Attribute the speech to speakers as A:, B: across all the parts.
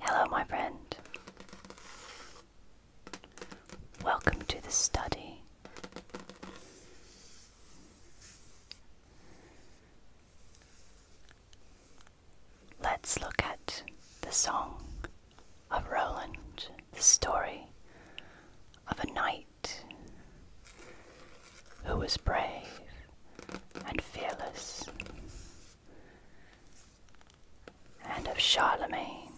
A: Hello, my friend. Welcome to the study. Let's look at the song of Roland, the story of a knight who was brave and fearless, and of Charlemagne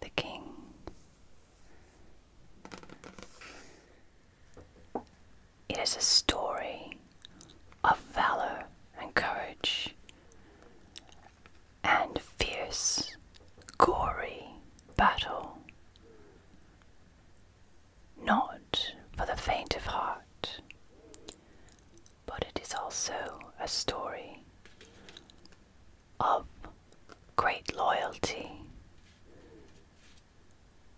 A: the King. It is a story of valor and courage, and fierce, gory battle not for the faint of heart, but it is also a story of great loyalty,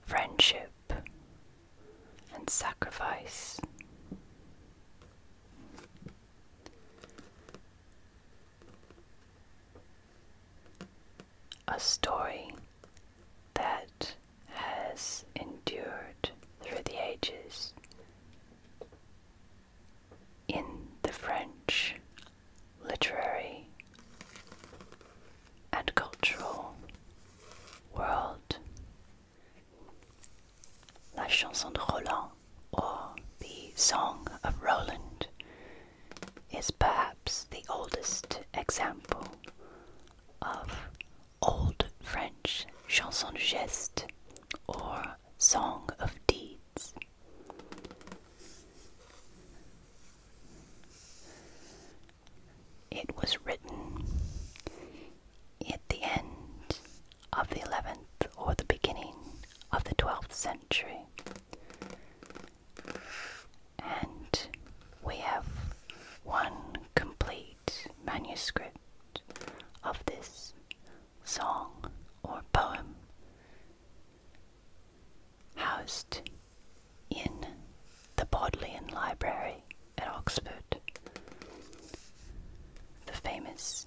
A: friendship, and sacrifice. A story that has endured through the ages. In the French literary and cultural world, La Chanson de Roland, or the Song of Roland, is perhaps the oldest example of Old French chanson de geste or song of deeds. It was written at the end of the 11th or the beginning of the 12th century and we have one complete manuscript of this song or poem housed in the Bodleian Library at Oxford. The famous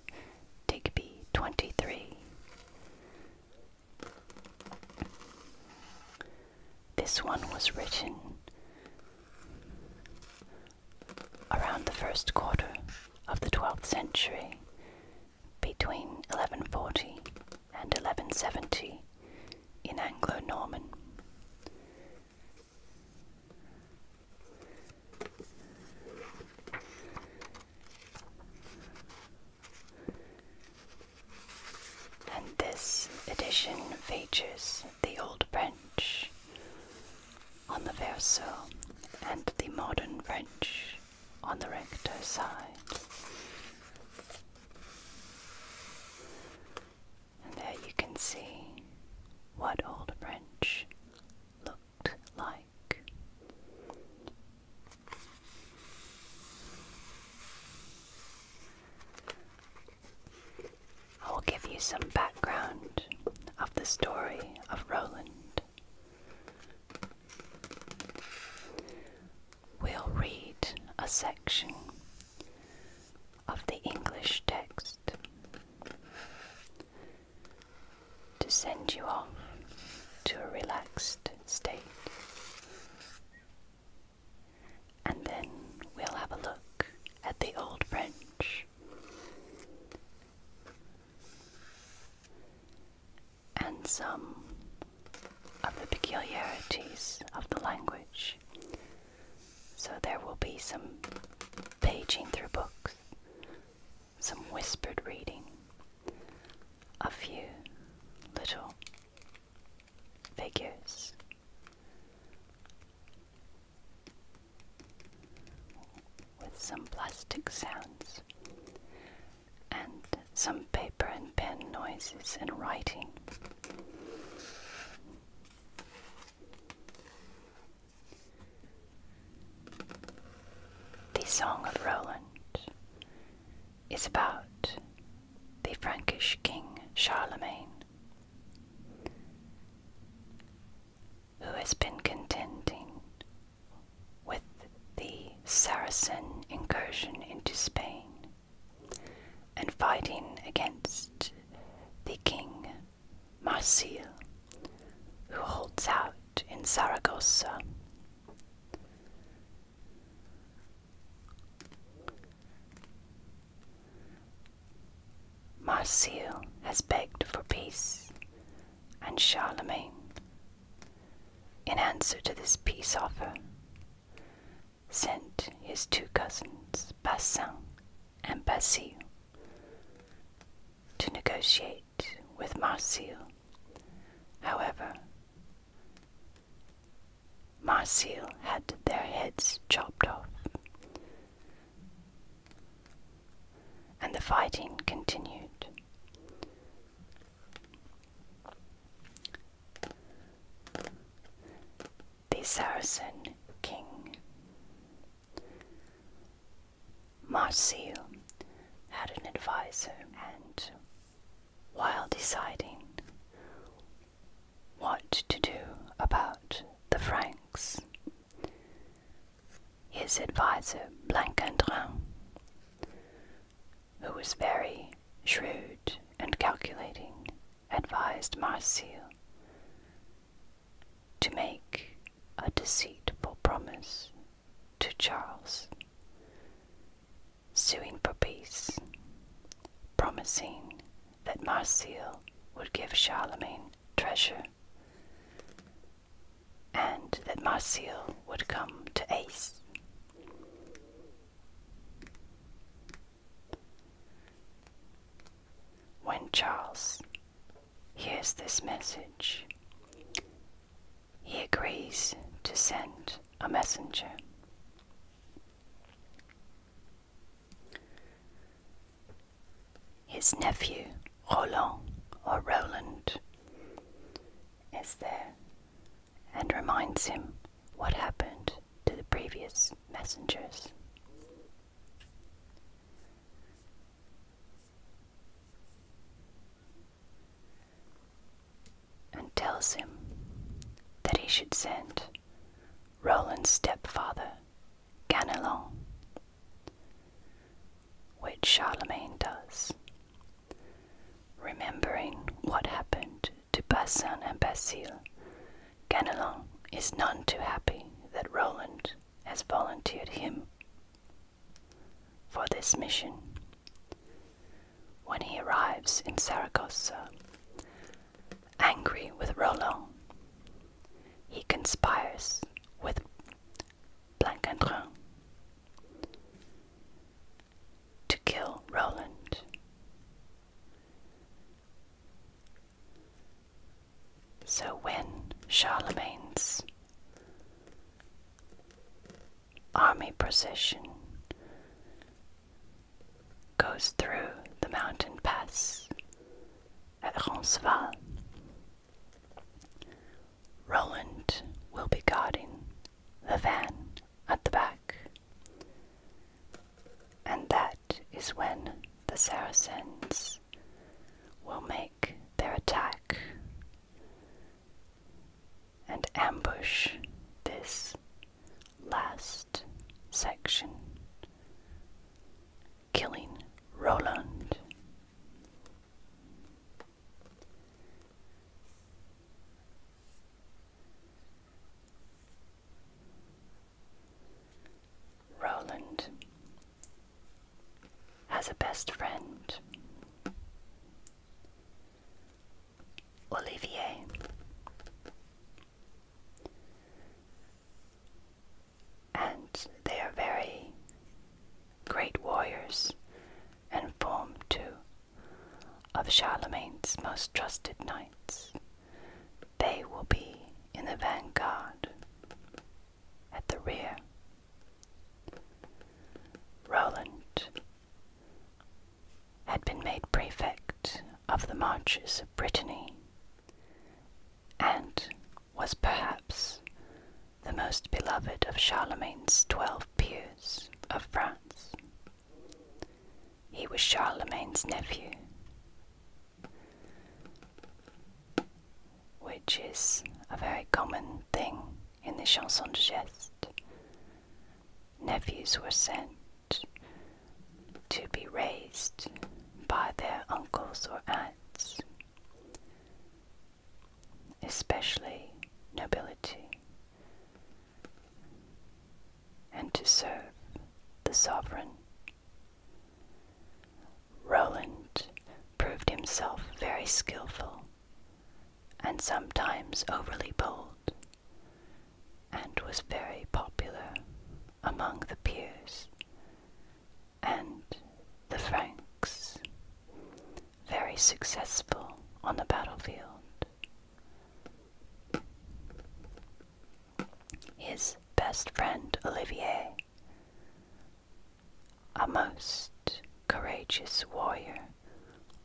A: Digby 23 this one was written around the first quarter of the 12th century, between 1140 and 1170 in Anglo Norman and this edition features the Old French on the verso and the Modern French on the recto side. And there you can see what Old French looked like. I will give you some background of the story of Roland. We'll read a section of the English text to send you off to a relaxed state. And then we'll have a look at the Old French. And some of the peculiarities of the language. So there will be some paging through books, some whispered reading, a few little figures with some plastic sounds and some paper and pen noises and writing. The Song of Roland is about the Frankish king Charlemagne, who has been contending with the Saracen incursion into Spain and fighting against the king Marsil, who holds out in Saragossa. Marcial has begged for peace, and Charlemagne, in answer to this peace offer, sent his two cousins, Bassin and Basile, to negotiate with Marcial. However, Marsil had their heads chopped off. And the fighting continued. The Saracen king Marsil had an advisor, and while deciding what to do about the Franks. His adviser, Blancandrin, who was very shrewd and calculating, advised Marsil to make a deceitful promise to Charles suing for peace, promising that Marsile would give Charlemagne treasure, and that Marsile would come to Ace. When Charles hears this message, he agrees to send a messenger. His nephew, Roland or Roland, is there and reminds him what happened to the previous messengers. And tells him that he should send Roland's stepfather, Ganelon, which Charlemagne does, remembering what happened to Bassin and Basile. Ganelon is none too happy that Roland has volunteered him for this mission. When he arrives in Saragossa, Angry with Roland, he conspires with Blancandrin to kill Roland. So when Charlemagne's army procession goes through the mountain pass at Roncesvalles. Roland will be guarding the van at the back. And that is when the Saracens will make their attack and ambush this last section Killing Roland. Roland has a best friend, Olivier. And they are very great warriors and form two of Charlemagne's most trusted knights. They will be in the vanguard at the rear. Roland had been made prefect of the Marches of Brittany, and was perhaps the most beloved of Charlemagne's twelve peers of France. He was Charlemagne's nephew, which is a very common thing in the chansons de Geste. Nephews were sent to be raised by their uncles or aunts, especially nobility, and to serve the sovereign. Roland proved himself very skilful and sometimes overly bold and was very popular among the peers and the Franks, very successful on the battlefield. His best friend Olivier, a most courageous warrior,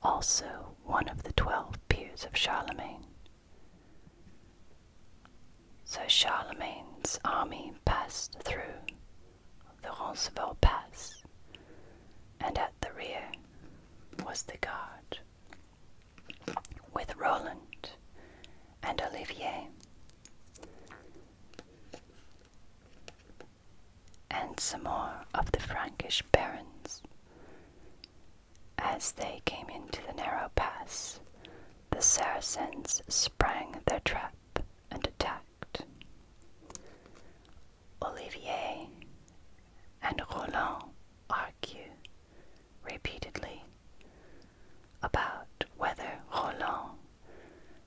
A: also one of the twelve peers of Charlemagne, so Charlemagne's army passed through the Roncevaux Pass, and at the rear was the guard with Roland and Olivier. And some more of the Frankish barons as they came into the narrow pass, the Saracens sprang their trap and attacked. Olivier and Roland argue repeatedly about whether Roland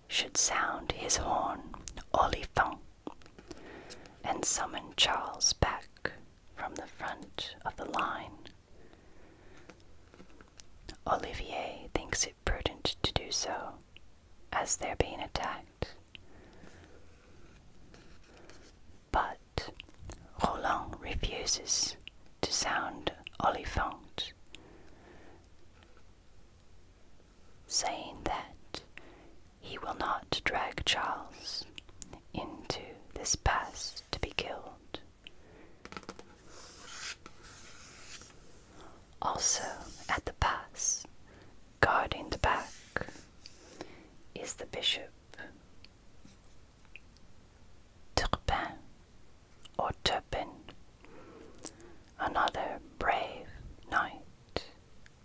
A: should sound his horn olifant and summon Charles back from the front of the line. Olivier thinks it prudent to do so, as they're being attacked. But Roland refuses to sound Oliphant, saying that he will not drag Charles into this pass to be killed. Also, at the pass, guarding the back, is the bishop. Turpin or Turpin, another brave knight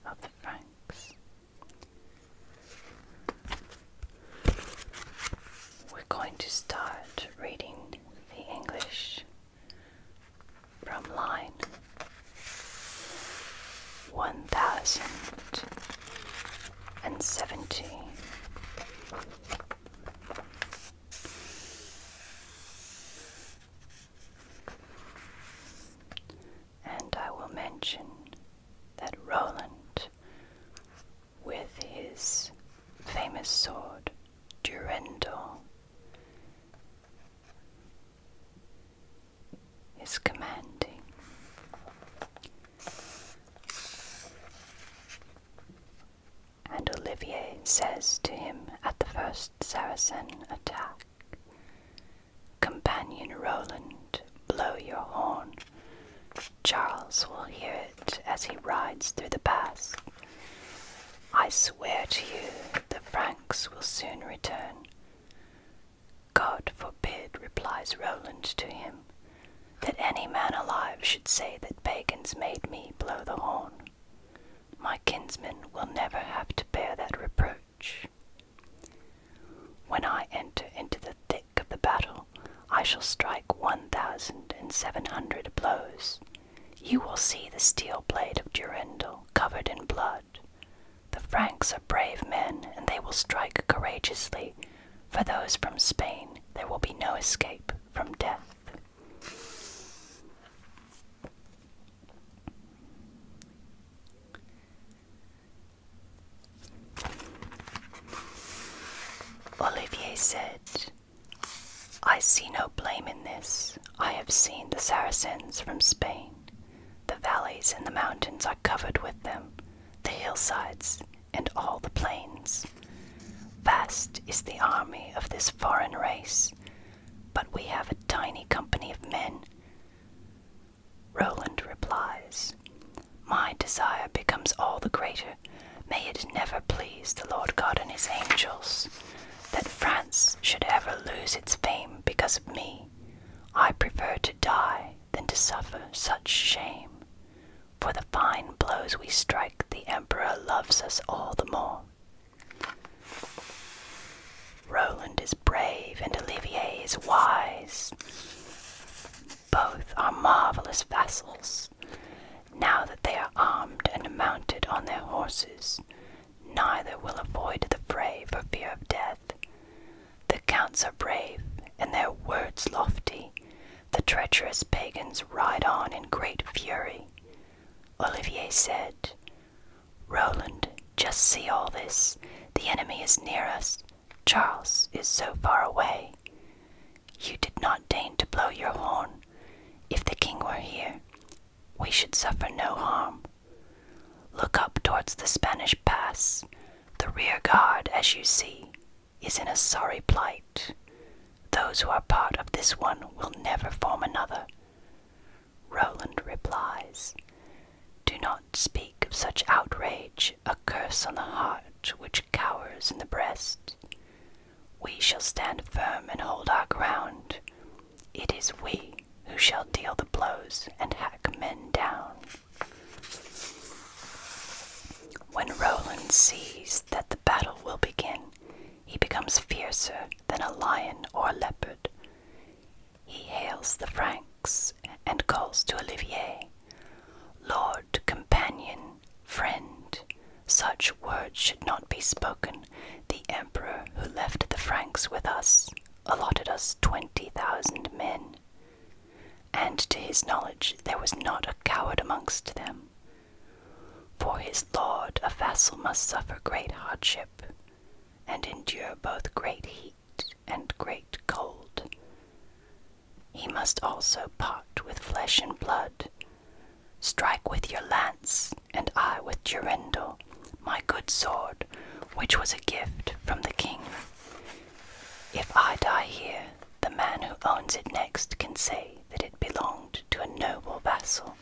A: of the Franks. We're going to start reading the English from line 1070. And I will mention that Roland with his famous sword, Durendal. Is commanding. And Olivier says to him at the first Saracen attack Companion Roland, blow your horn. Charles will hear it as he rides through the pass. I swear to you, the Franks will soon return. God forbid, replies Roland to him, that any man alive should say that pagans made me blow the horn. My kinsmen will never have to bear that reproach. When I enter into the of the battle, I shall strike one thousand and seven hundred blows. You will see the steel blade of Durendal covered in blood. The Franks are brave men, and they will strike courageously. For those from Spain, there will be no escape from death. Olivier said, I see no blame in this. I have seen the Saracens from Spain. The valleys and the mountains are covered with them, the hillsides and all the plains. Vast is the army of this foreign race, but we have a tiny company of men. Roland replies, my desire becomes all the greater. May it never please the Lord God and his angels that France should ever lose its fame because of me. I prefer to die than to suffer such shame. For the fine blows we strike, the Emperor loves us all the more. Roland is brave and Olivier is wise both are marvelous vassals. Now that they are armed and mounted on their horses, neither will avoid the fray for fear of death. The counts are brave, and their words lofty. The treacherous pagans ride on in great fury. Olivier said, Roland, just see all this. The enemy is near us. Charles is so far away. You did not deign to blow your horn. If the king were here, we should suffer no harm. Look up towards the Spanish pass. The rear guard, as you see, is in a sorry plight. Those who are part of this one will never form another. Roland replies, Do not speak of such outrage, a curse on the heart which cowers in the breast. We shall stand firm and hold our ground. It is we who shall deal the blows and hack men down. When Roland sees that the battle will begin, he becomes fiercer than a lion or a leopard. He hails the Franks and calls to Olivier Lord, companion, friend, such words should not be spoken. The emperor who left the Franks with us allotted us twenty thousand men, and to his knowledge there was not a coward amongst them. For his lord, a vassal must suffer great hardship, and endure both great heat and great cold. He must also part with flesh and blood. Strike with your lance, and I with Durendal, my good sword, which was a gift from the king. If I die here, the man who owns it next can say that it belonged to a noble vassal.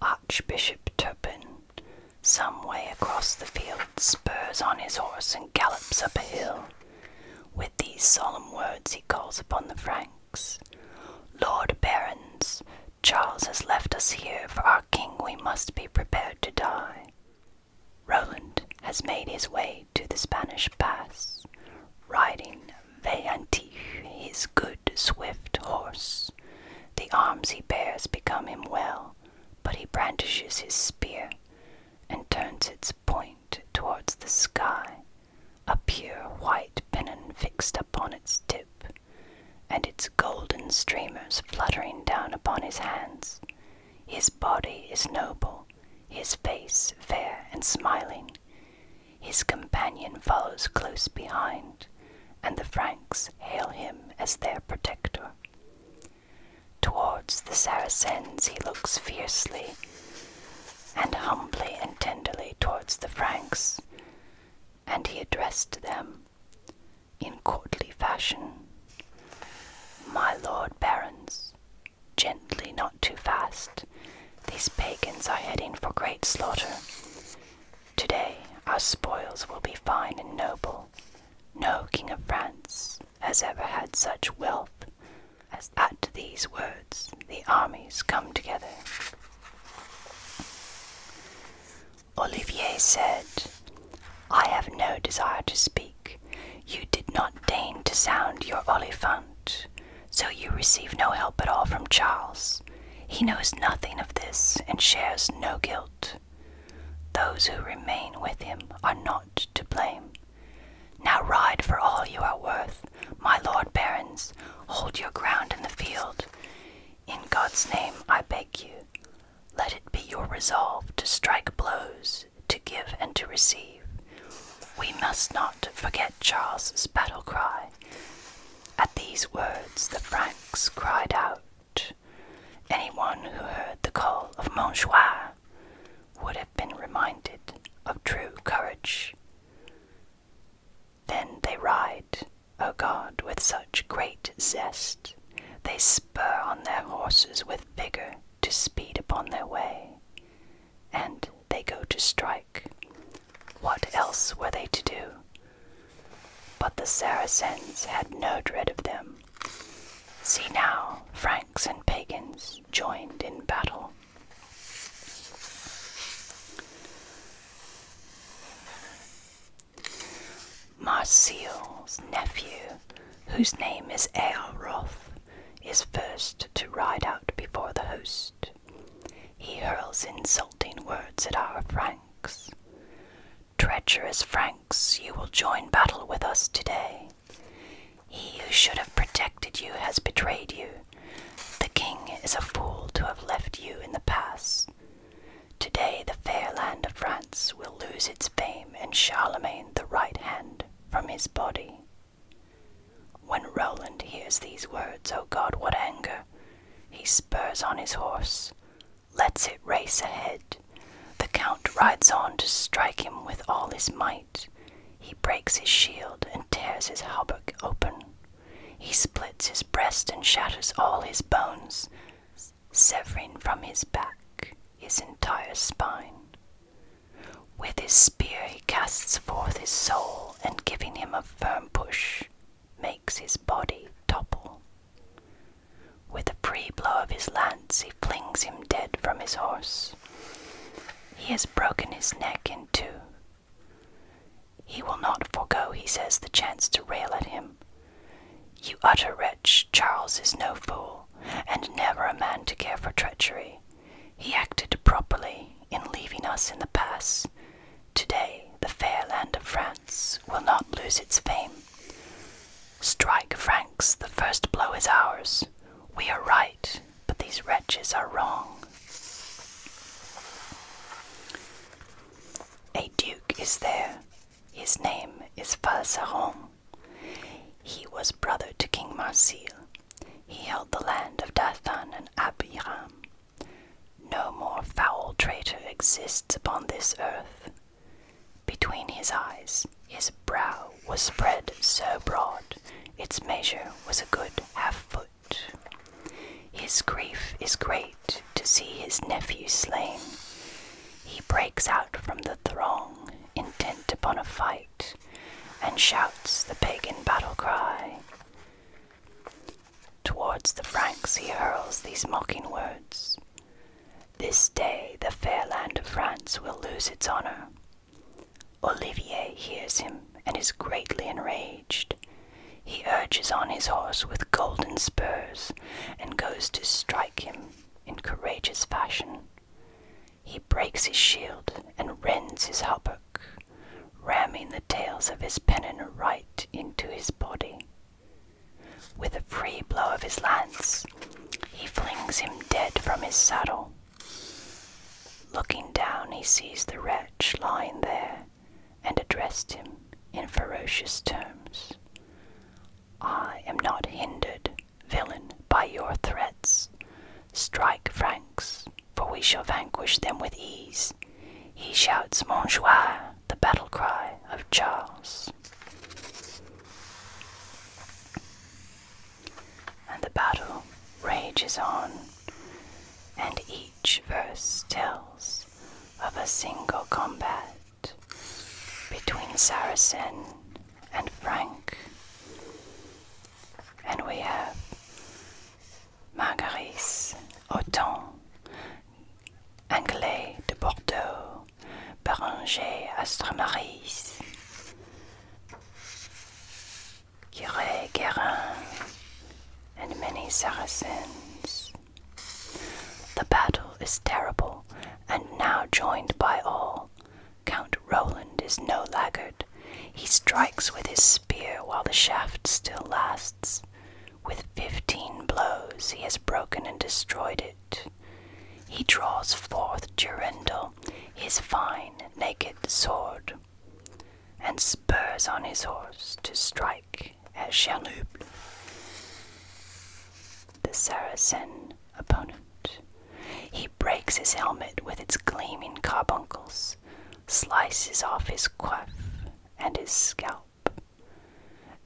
A: Archbishop Turpin, some way across the field, spurs on his horse and gallops up a hill. With these solemn words he calls upon the Franks Lord Barons, Charles has left us here. For our king, we must be prepared to die. Roland has made his way to the Spanish pass, riding Veillantif, his good, swift horse. The arms he bears become him well, but he brandishes his spear and turns its point towards the sky, a pure white pennon fixed upon its tip, and its golden streamers fluttering down upon his hands. His body is noble, his face fair and smiling, his companion follows close behind, and the Franks hail him as their protector. Towards the Saracens he looks fiercely, and humbly and tenderly towards the Franks, and he addressed them in courtly fashion My lord barons, gently, not too fast, these pagans are heading for great slaughter. Today our spoils will be fine and noble. No king of France has ever had such wealth. As at these words the armies come together. Olivier said, I have no desire to speak. You did not deign to sound your olifant. So you receive no help at all from Charles. He knows nothing of this and shares no guilt. Those who remain with him are not to blame. Now ride for all you are worth, my lord barons, hold your ground in the field. In God's name I beg you, let it be your resolve to strike blows, to give and to receive. We must not forget Charles's battle cry. At these words the Franks cried out. Anyone who heard the call of Montjoie would have been reminded of true courage. Then they ride, O God, with such great zest, they spur on their horses with vigour to speed upon their way, and they go to strike. What else were they to do? But the Saracens had no dread of them. See now, Franks and pagans joined in battle. Marsile's nephew, whose name is Eowroth, is first to ride out before the host. He hurls insulting words at our Franks. Treacherous Franks, you will join battle with us today. He who should have protected you has betrayed you. The king is a fool to have left you in the pass. Today the fair land of France will lose its fame and Charlemagne the right hand from his body. When Roland hears these words, O God, what anger! He spurs on his horse, lets it race ahead. The count rides on to strike him with all his might. He breaks his shield and tears his hauberk open. He splits his breast and shatters all his bones, severing from his back his entire spine. With his spear he casts forth his soul, and giving him a firm push, makes his body topple. With a free blow of his lance, he flings him dead from his horse. He has broken his neck in two. He will not forego, he says, the chance to rail at him. You utter wretch, Charles is no fool, and never a man to care for treachery. He acted properly in leaving us in the pass years. Today, the fair land of France will not lose its fame. Strike, Franks, the first blow is ours. We are right, but these wretches are wrong. A duke is there. His name is Falseron. He was brother to King Marsil. He held the land of Dathan and Abiram. No more foul traitor exists upon this earth. Between his eyes, his brow was spread so broad, its measure was a good half foot. His grief is great to see his nephew slain. He breaks out from the throng, intent upon a fight, and shouts the pagan battle cry. Towards the Franks he hurls these mocking words This day the fair land of France will lose its honor. Olivier hears him and is greatly enraged. He urges on his horse with golden spurs and goes to strike him in courageous fashion. He breaks his shield and rends his hauberk ramming the tails of his pennon right into his body. With a free blow of his lance, he flings him dead from his saddle. Looking down, he sees the wretch lying there and addressed him in ferocious terms. I am not hindered, villain, by your threats. Strike Franks, for we shall vanquish them with ease. He shouts Montjoie, the battle cry of Charles. And the battle rages on, and each verse tells of a single combat between Saracen and Frank. And we have Margaris, Auton, Anglais de Bordeaux, Béranger, Astramaris, Curé, Guérin, and many Saracens. The battle is terrible, and now joined by all. Count Roland is no laggard. He strikes with his spear while the shaft still lasts. With fifteen blows he has broken and destroyed it. He draws forth Durendal, his fine naked sword, and spurs on his horse to strike at Chernuble, the Saracen opponent. He breaks his helmet with its gleaming carbuncles, slices off his coif and his scalp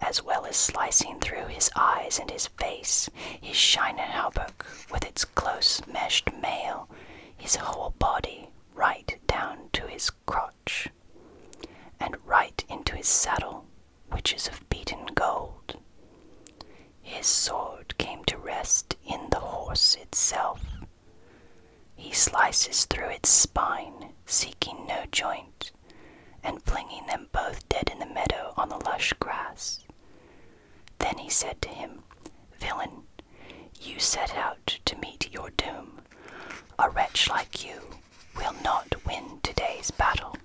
A: as well as slicing through his eyes and his face, his shinin' hauberk with its close meshed mail, his whole body right down to his crotch, and right into his saddle, which is of beaten gold. His sword came to rest in the horse itself, he slices through its spine, seeking no joint, and flinging them both dead in the meadow on the lush grass. Then he said to him, Villain, you set out to meet your doom. A wretch like you will not win today's battle.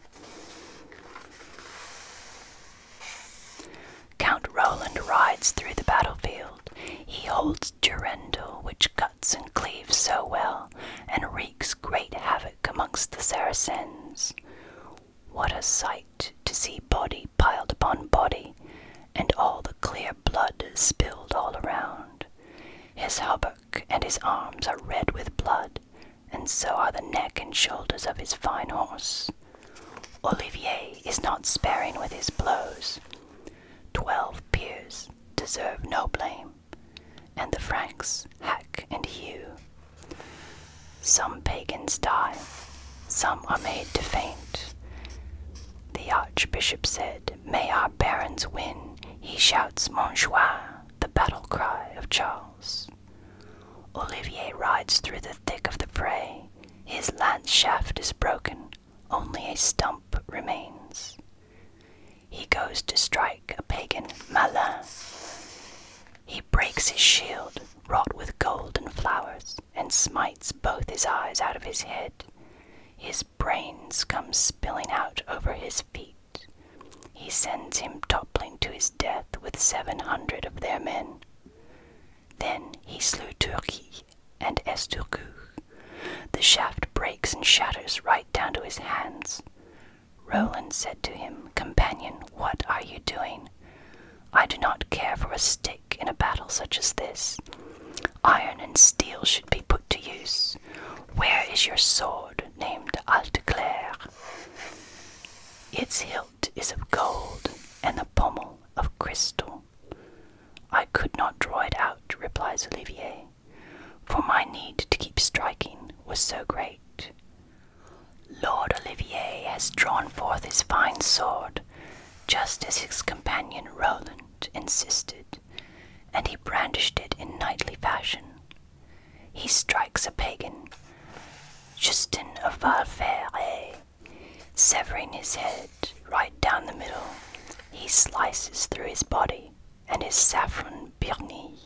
A: Count Roland rides through the battlefield, he holds Durendal, which cuts and cleaves so well, and wreaks great havoc amongst the Saracens. What a sight to see body piled upon body, and all the clear blood spilled all around. His hauberk and his arms are red with blood, and so are the neck and shoulders of his fine horse. Olivier is not sparing with his blows. Twelve peers deserve no blame, and the Franks hack and hew. Some pagans die, some are made to faint. The archbishop said, May our barons win. He shouts, Montjoie, the battle cry of Charles. Olivier rides through the thick of the fray. His lance shaft is broken, only a stump remains. He goes to strike a pagan Malin. He breaks his shield, wrought with gold and flowers, and smites both his eyes out of his head. His brains come spilling out over his feet. He sends him toppling to his death with seven hundred of their men. Then he slew Turki and Esturgus, the shaft breaks and shatters right down to his hands. Roland said to him, Companion, what are you doing? I do not care for a stick in a battle such as this. Iron and steel should be put to use. Where is your sword named Alteclair? Its hilt is of gold and the pommel of crystal. I could not draw it out, replies Olivier for my need to keep striking was so great. Lord Olivier has drawn forth his fine sword, just as his companion Roland insisted, and he brandished it in knightly fashion. He strikes a pagan, Justin of Valferre, severing his head right down the middle. He slices through his body, and his saffron birnie,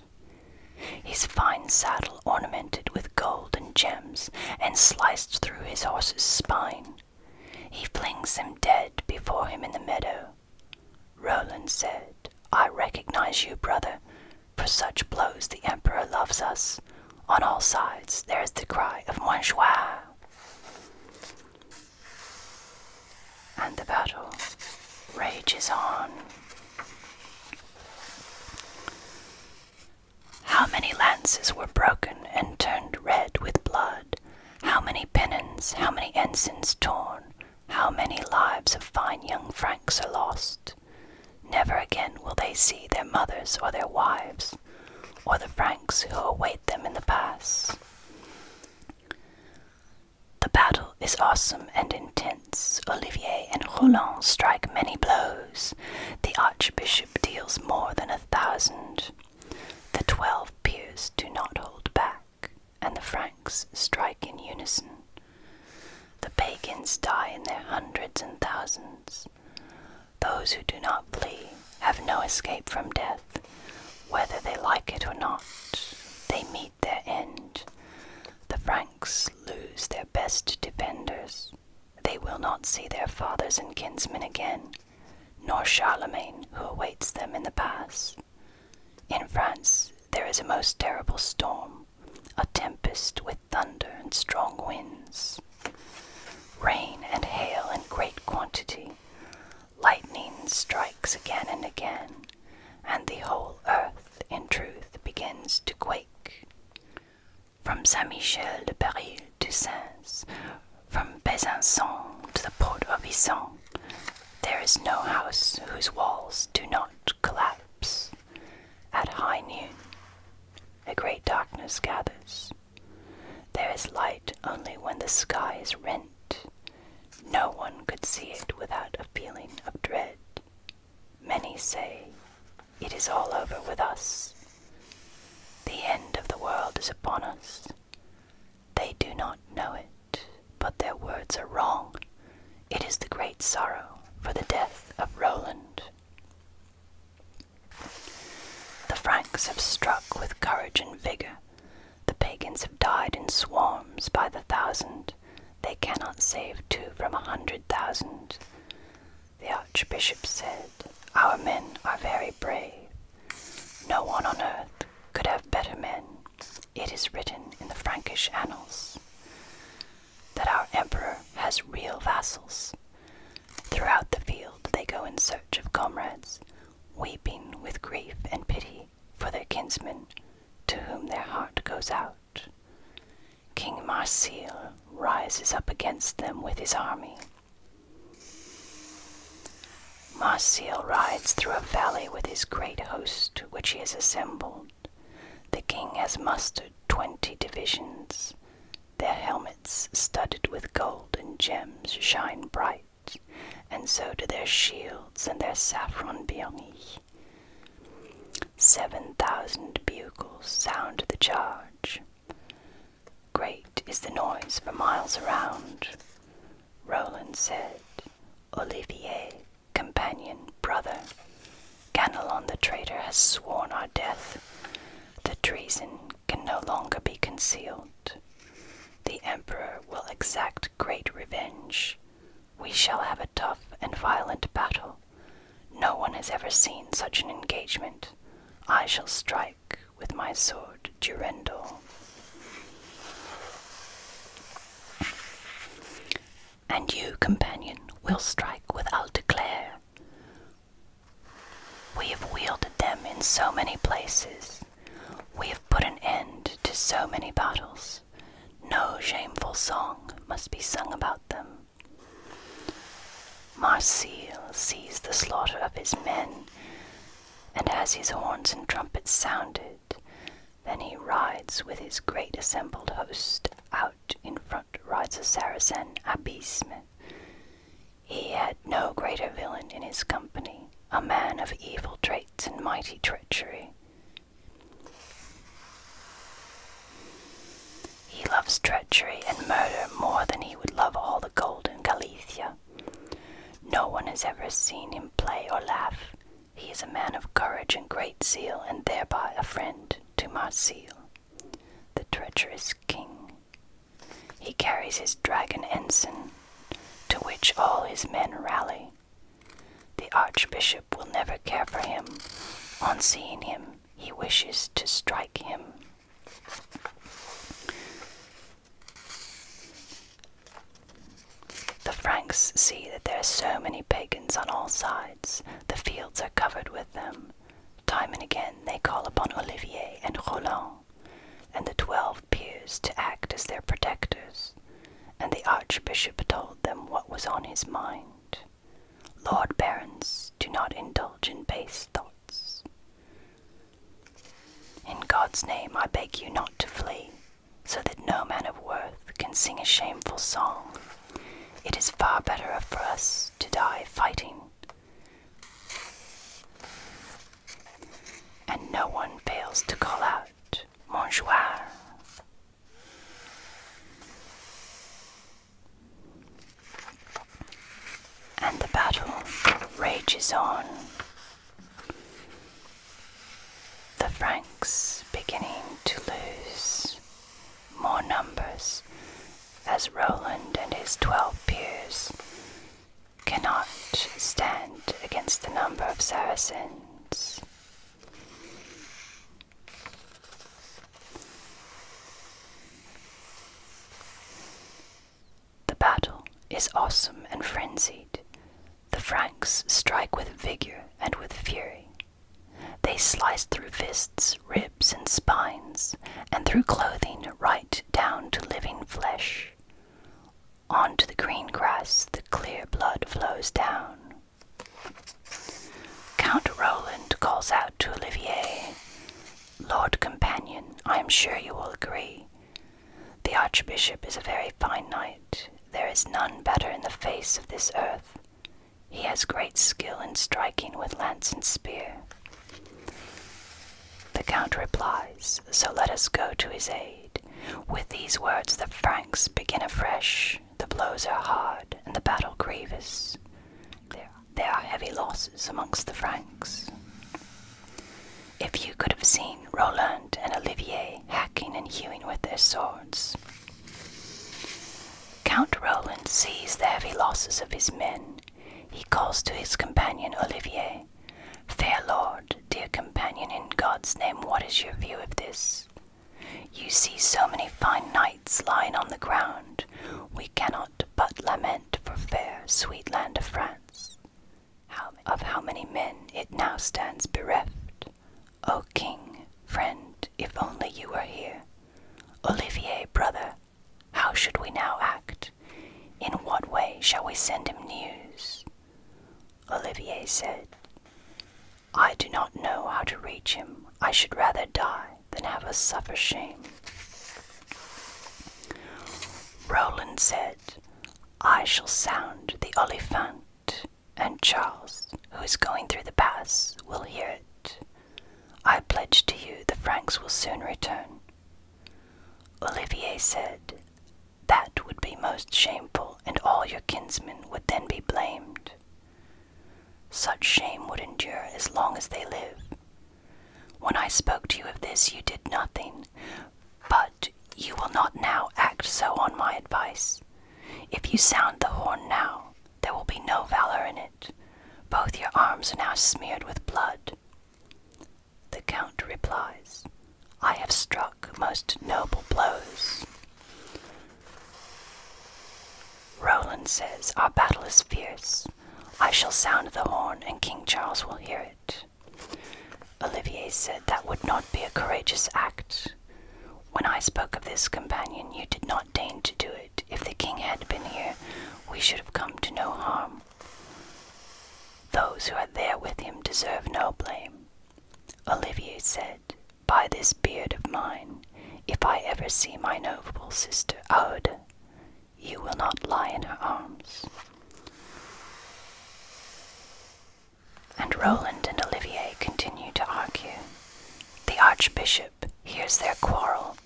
A: his fine saddle ornamented with gold and gems, and sliced through his horse's spine. He flings him dead before him in the meadow. Roland said, I recognize you, brother. For such blows the Emperor loves us. On all sides there is the cry of Moinjoie. And the battle rages on. How many lances were broken and turned red with blood? How many pennons, how many ensigns torn? How many lives of fine young Franks are lost? Never again will they see their mothers or their wives, or the Franks who await them in the pass. The battle is awesome and intense. Olivier and Roland strike many blows. The archbishop deals more than a thousand. The twelve peers do not hold back, and the Franks strike in unison. The pagans die in their hundreds and thousands. Those who do not flee have no escape from death. Whether they like it or not, they meet their end. The Franks lose their best defenders. They will not see their fathers and kinsmen again, nor Charlemagne, who awaits them in the pass. In France, there is a most terrible storm, a tempest with thunder and strong winds, rain and hail in great quantity, Lightning strikes again and again, and the whole earth, in truth, begins to quake. From Saint Michel de Paris to Sens, from Besançon to the port of Isson, there is no house whose walls do not collapse. At high noon, a great darkness gathers. There is light only when the sky is rent no one could see it without a feeling of dread. Many say, It is all over with us. The end of the world is upon us. They do not know it, but their words are wrong. It is the great sorrow for the death of Roland. The Franks have struck with courage and vigor. The pagans have died in swarms by the thousand. They cannot save two from a hundred thousand. The archbishop said, Our men are very brave. No one on earth could have better men. It is written in the Frankish annals that our emperor has real vassals. Throughout the field they go in search of comrades, weeping with grief and pity for their kinsmen to whom their heart goes out. King Marsile rises up against them with his army. Marsile rides through a valley with his great host which he has assembled. The king has mustered twenty divisions. Their helmets, studded with gold and gems, shine bright and so do their shields and their saffron biongi. Seven thousand bugles sound the charge. Great is the noise for miles around. Roland said, Olivier, companion, brother, Ganelon the traitor has sworn our death. The treason can no longer be concealed. The Emperor will exact great revenge, we shall have a tough and violent battle. No one has ever seen such an engagement. I shall strike with my sword Durendal. And you, companion, will strike with Aldeclair. We have wielded them in so many places. We have put an end to so many battles. No shameful song must be sung about them. Marsile sees the slaughter of his men, and as his horns and trumpets sounded, then he rides with his great assembled host. Out in front rides a Saracen Abisme. He had no greater villain in his company, a man of evil traits and mighty treachery. He loves treachery and murder more than he would love all the gold in Galicia. No one has ever seen him play or laugh. He is a man of courage and great zeal, and thereby a friend to Marsile, the treacherous king. He carries his dragon ensign, to which all his men rally, the archbishop will never care for him. On seeing him, he wishes to strike him. The Franks see that there are so many pagans on all sides, the fields are covered with them. Time and again they call upon Olivier and Roland, and the twelve twelve peers to act as their protectors, and the archbishop told them what was on his mind. Lord barons, do not indulge in base thoughts. In God's name, I beg you not to flee, so that no man of worth can sing a shameful song. It is far better for us to die fighting. And no one fails to call out, Bonjour. And the battle rages on. The Franks beginning to lose more numbers as Roland and his twelve peers cannot stand against the number of Saracens. The battle is awesome and frenzied. The Franks strike with vigor and with fury. They slice through fists, ribs, and spines, and through clothing right down to living flesh. Onto the green grass the clear blood flows down. Count Roland calls out to Olivier, Lord companion, I am sure you will agree. The Archbishop is a very fine knight. There is none better in the face of this earth. He has great skill in striking with lance and spear. The Count replies, So let us go to his aid. With these words the Franks begin afresh. The blows are hard and the battle grievous. there are heavy losses amongst the Franks. If you could have seen Roland and Olivier hacking and hewing with their swords. Count Roland sees the heavy losses of his men. He calls to his companion Olivier, Fair lord, dear companion, in God's name, what is your view of this? You see so many fine knights lying on the ground, we cannot but lament for fair, sweet land of France. of how many men it now stands bereft. O king, friend, if only you were here. Olivier, brother, how should we now act? In what way shall we send him news? Olivier said, I do not know how to reach him. I should rather die than have us suffer shame. Roland said, I shall sound the Oliphant, and Charles, who is going through the pass, will hear it. I pledge to you the Franks will soon return. Olivier said, that would be most shameful, and all your kinsmen would then be blamed. Such shame would endure as long as they live. When I spoke to you of this, you did nothing, but you will not now act so on my advice. If you sound the horn now, there will be no valor in it. Both your arms are now smeared with blood. The Count replies, I have struck most noble blows. Roland says, Our battle is fierce. I shall sound the horn, and King Charles will hear it. Olivier said, That would not be a courageous act. When I spoke of this, companion, you did not deign to do it. If the king had been here, we should have come to no harm. Those who are there with him deserve no blame. Olivier said, by this beard of mine, if I ever see my noble sister Aude, you will not lie in her arms. And Roland and Olivier continue to argue. The Archbishop hears their quarrel.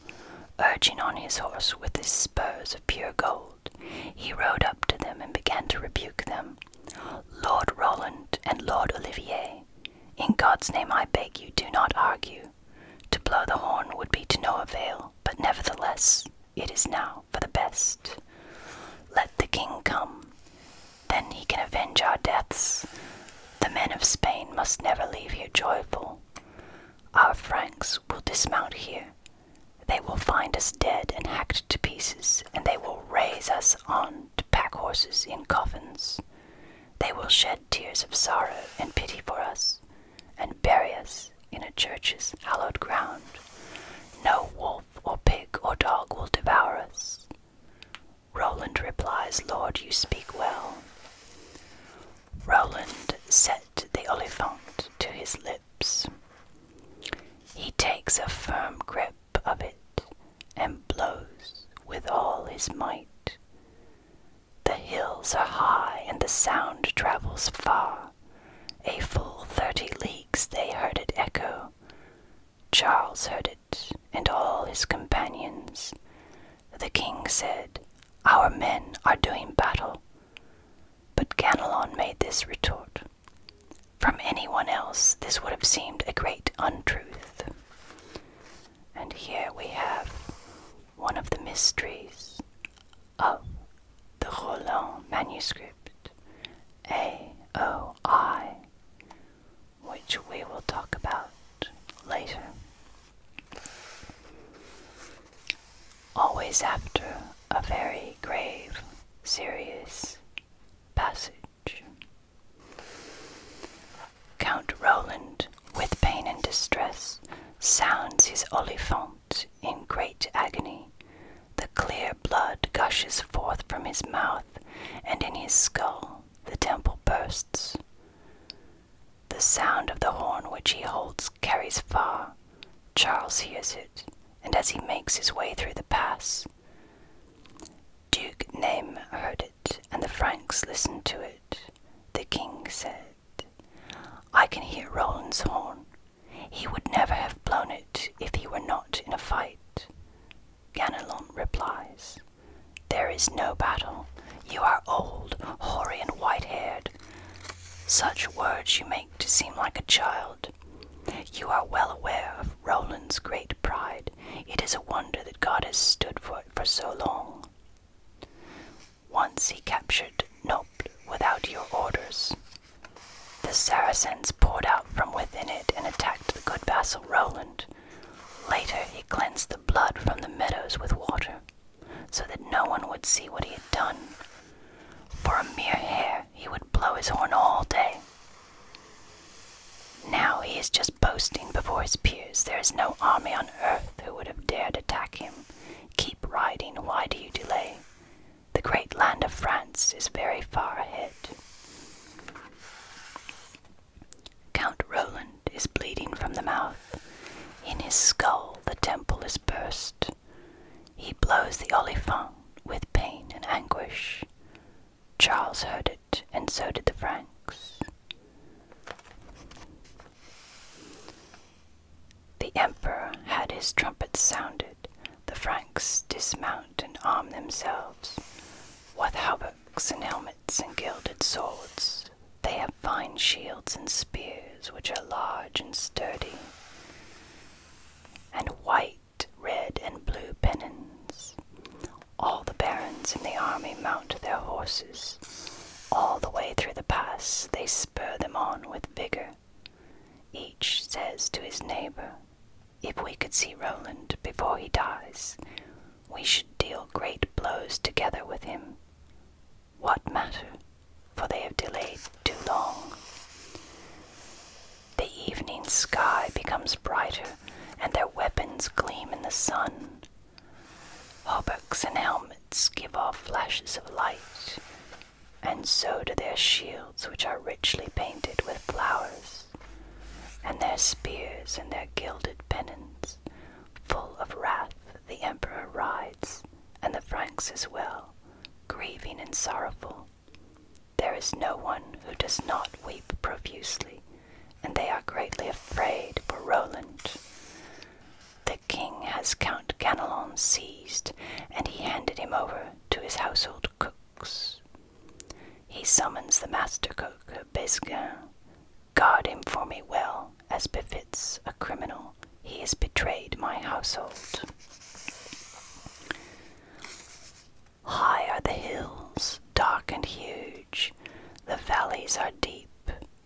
A: Urging on his horse with his spurs of pure gold, he rode up to them and began to rebuke them. Lord Roland and Lord Olivier, in God's name I beg you, do not argue. To blow the horn would be to no avail, but nevertheless it is now for the best. Let the king come, then he can avenge our deaths. The men of Spain must never leave here joyful. Our Franks will dismount here. They will find us dead and hacked to pieces, and they will raise us on to pack horses in coffins. They will shed tears of sorrow and pity for us, and bury us in a church's hallowed ground. No wolf or pig or dog will devour us. Roland replies, Lord, you speak well. Roland set the olifant to his lips. He takes a firm grip of it and blows with all his might. The hills are high and the sound travels far. A full thirty leagues they heard it echo. Charles heard it and all his companions. The king said, Our men are doing battle. But Ganelon made this retort from anyone else, this would have seemed a great untruth. And here we have one of the mysteries of the Roland manuscript, AOI, which we will talk about later. Always after a very grave, serious passage. Count Roland, with pain and distress, sounds his olifant in great agony. The clear blood gushes forth from his mouth, and in his skull the temple bursts. The sound of the horn which he holds carries far. Charles hears it, and as he makes his way through the pass, Duke Name heard it, and the Franks listened to it. The king said, I can hear Roland's horn. He would never have blown it if he were not in a fight. Ganelon replies, There is no battle. You are old, hoary, and white haired. Such words you make to seem like a child. You are well aware of Roland's great pride. It is a wonder that God has stood for it for so long. Once he captured Nope without your orders. The Saracens poured out from within it and attacked the good vassal Roland. Later he cleansed the blood from the meadows with water, so that no one would see what he had done. For a mere hair he would blow his horn all day, now he is just boasting before his peers. There is no army on earth who would have dared attack him. Keep riding, why do you delay? The great land of France is very far ahead. Count Roland is bleeding from the mouth. In his skull the temple is burst. He blows the olifant with pain and anguish. Charles heard it, and so did the Franks. The emperor had his trumpets sounded, the Franks dismount and arm themselves. With hauberks and helmets and gilded swords, they have fine shields and spears which are large and sturdy, and white red, and blue pennons. All the barons in the army mount their horses. All the way through the pass they spur them on with vigor. Each says to his neighbor, If we could see Roland before he dies, we should deal great blows together with him. What matter? For they have delayed too long. The evening sky becomes brighter and their weapons gleam in the sun. Hauberks and helmets give off flashes of light, and so do their shields, which are richly painted with flowers, and their spears and their gilded pennons. Full of wrath, the emperor rides, and the Franks as well, grieving and sorrowful. There is no one who does not weep profusely, and they are greatly afraid for Roland. The king has Count Ganelon seized, and he handed him over to his household cooks. He summons the master cook, Besquin. Guard him for me well, as befits a criminal. He has betrayed my household. High are the hills, dark and huge. The valleys are deep,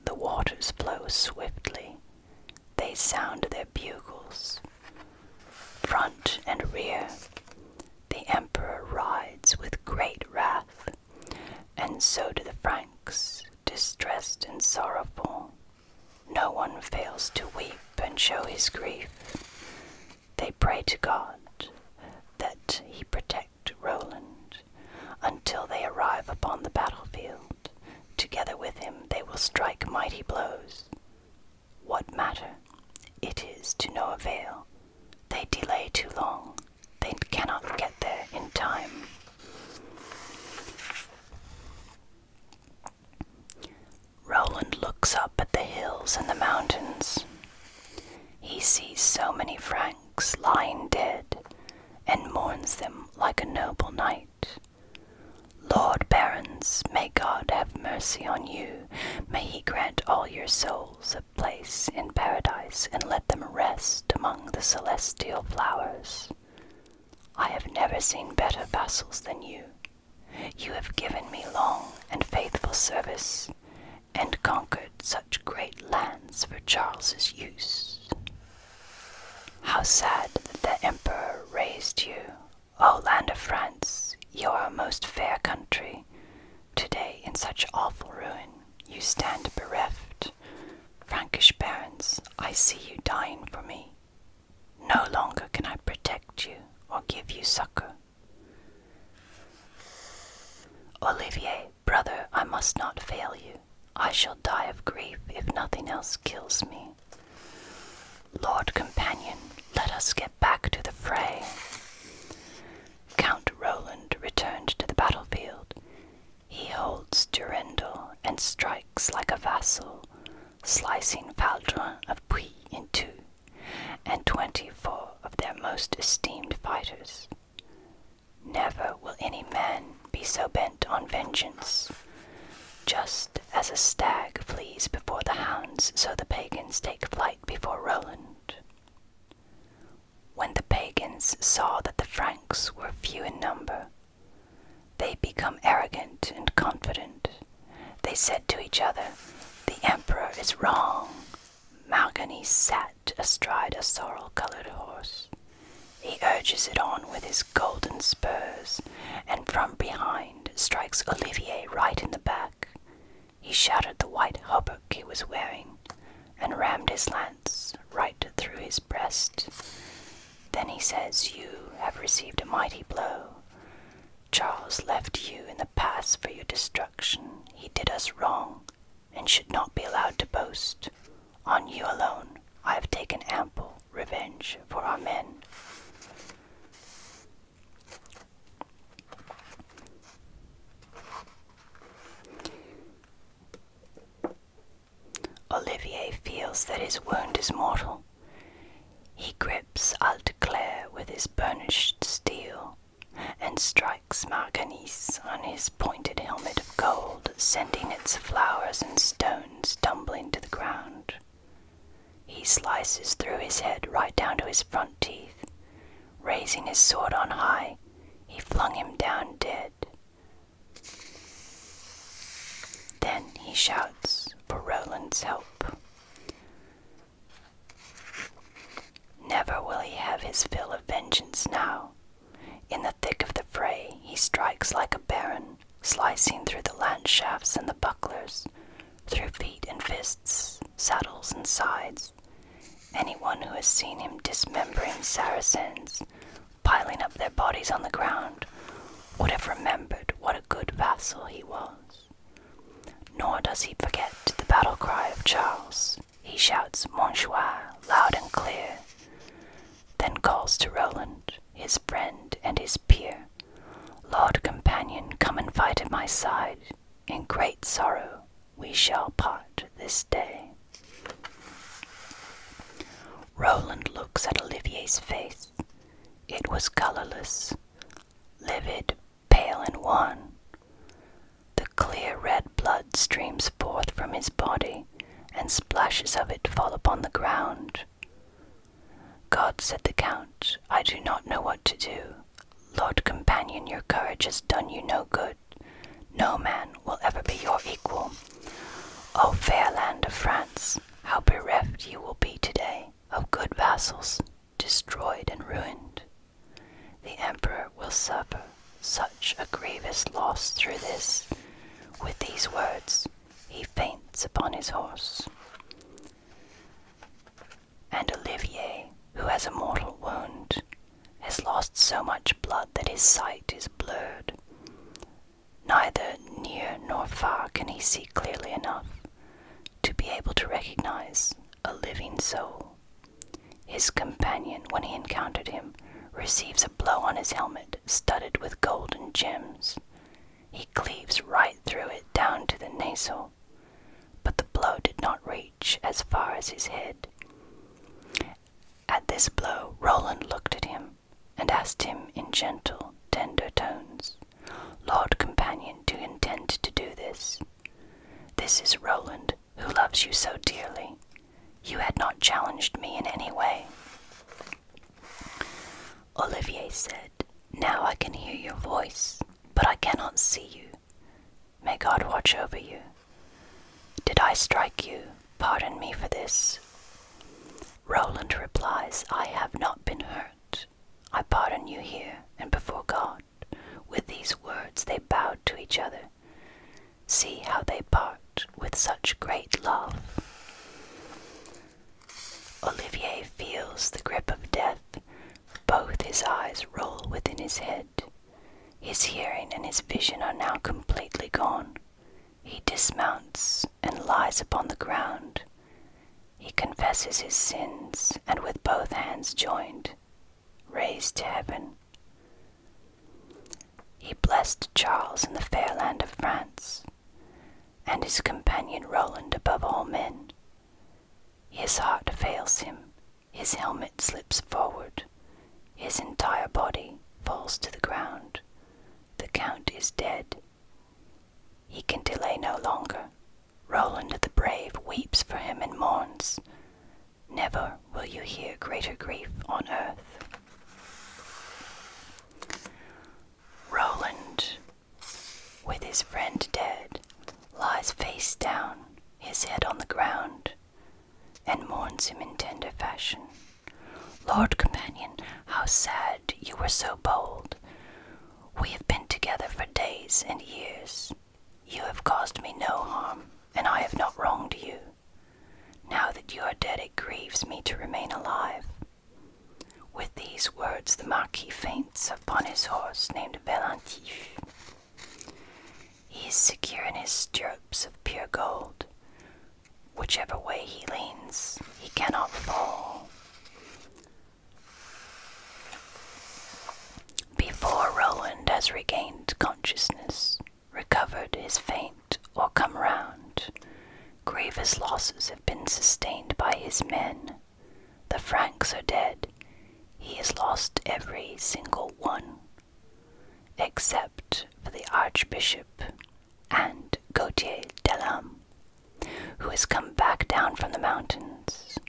A: the waters flow swiftly. They sound their bugles. Front and rear, the emperor rides with great wrath, and so do the Franks, distressed and sorrowful. No one fails to weep and show his grief. They pray to God that he protect Roland until they arrive upon the battlefield. Together with him they will strike mighty blows. What matter? It is to no avail. They delay too long. They cannot get there in time. Roland looks up at the hills and the mountains. He sees so many Franks lying dead, and mourns them like a noble knight. Lord barons, may God have mercy on you. May he grant all your souls a place in paradise, and let them rest among the celestial flowers. I have never seen better vassals than you. You have given me long and faithful service, and conquered such great lands for Charles's use. How sad that the Emperor raised you, O land of France, your most fair country, today in such awful ruin you stand bereft. Frankish barons, I see you dying for me. No longer can I protect you or give you succor. Olivier, brother, I must not fail you. I shall die of grief if nothing else kills me. Lord companion, let us get back to the fray. Count Roland returned to the battlefield. He holds Durendal and strikes like a vassal, slicing Faldron of Puy in two and twenty four of their most esteemed fighters. Never will any man be so bent on vengeance. Just as a stag flees before the hounds, so the pagans take flight before Roland. When the pagans saw that the Franks were few in number, they become arrogant and confident. They said to each other, The emperor is wrong. Malgany sat astride a sorrel colored horse. He urges it on with his golden spurs, and from behind strikes Olivier right in the back. He shattered the white hauberk he was wearing, and rammed his lance right through his breast. Then he says, You have received a mighty blow. Charles left you in the pass for your destruction. He did us wrong and should not be allowed to boast. On you alone I have taken ample revenge for our men. Olivier feels that his wound is mortal. He grips i will declare with his burnished steel and strikes Marganis on his pointed helmet of gold, sending its flowers and stones tumbling to the ground. He slices through his head right down to his front teeth. Raising his sword on high, he flung him down dead. Then he shouts for Roland's help. Never will he have his fill of vengeance now. In the thick of the fray, he strikes like a baron, slicing through the lance shafts and the bucklers, through feet and fists, saddles and sides. Anyone who has seen him dismembering Saracens, piling up their bodies on the ground, would have remembered what a good vassal he was. Nor does he forget the battle cry of Charles, he shouts Monsieur loud and clear, then calls to Roland, his friend and his peer, Lord companion, come and fight at my side. In great sorrow we shall part this day. Roland looks at Olivier's face. It was colorless, livid, pale, and wan, the clear red blood streams forth from his body, and splashes of it fall upon the ground. God, said the Count, I do not know what to do. Lord companion, your courage has done you no good. No man will ever be your equal. O fair land of France, how bereft you will be today of good vassals, destroyed and ruined. The emperor will suffer such a grievous loss through this. With these words, he faints upon his horse. And Olivier, who has a mortal wound, has lost so much blood that his sight is blurred. Neither near nor far can he see clearly enough to be able to recognize a living soul his companion, when he encountered him, receives a blow on his helmet studded with golden gems. He cleaves right through it down to the nasal, but the blow did not reach as far as his head. At this blow, Roland looked at him and asked him in gentle, tender tones, Lord companion, do you intend to do this? This is Roland, who loves you so dearly, you had not challenged me in any way. Olivier said, Now I can hear your voice, but I cannot see you. May God watch over you. Did I strike you? Pardon me for this. Roland replies, I have not been hurt. I pardon you here and before God. With these words they bowed to each other. See how they part with such great love. Olivier feels the grip of death. Both his eyes roll within his head. His hearing and his vision are now completely gone. He dismounts and lies upon the ground. He confesses his sins and with both hands joined raised to heaven. He blessed Charles in the fair land of France, and his companion Roland above all men. His heart fails him, his helmet slips forward, his entire body falls to the ground. The Count is dead. He can delay no longer. Roland the Brave weeps for him and mourns. Never will you hear greater grief on earth. Roland, with his friend dead, lies face down, his head on the ground, and mourns him in tender fashion. Lord companion, how sad you were so bold. We have been together for days and years, you have caused me no harm, and I have not wronged you. Now that you are dead, it grieves me to remain alive. With these words, the Marquis faints upon his horse named Velantif. He is secure in his stirrups of pure gold. Whichever way he leans, he cannot fall. Before Roland has regained consciousness, recovered his faint, or come round. Grievous losses have been sustained by his men. The Franks are dead. He has lost every single one, except for the Archbishop and Gautier Delam, who has come back down from the mountains.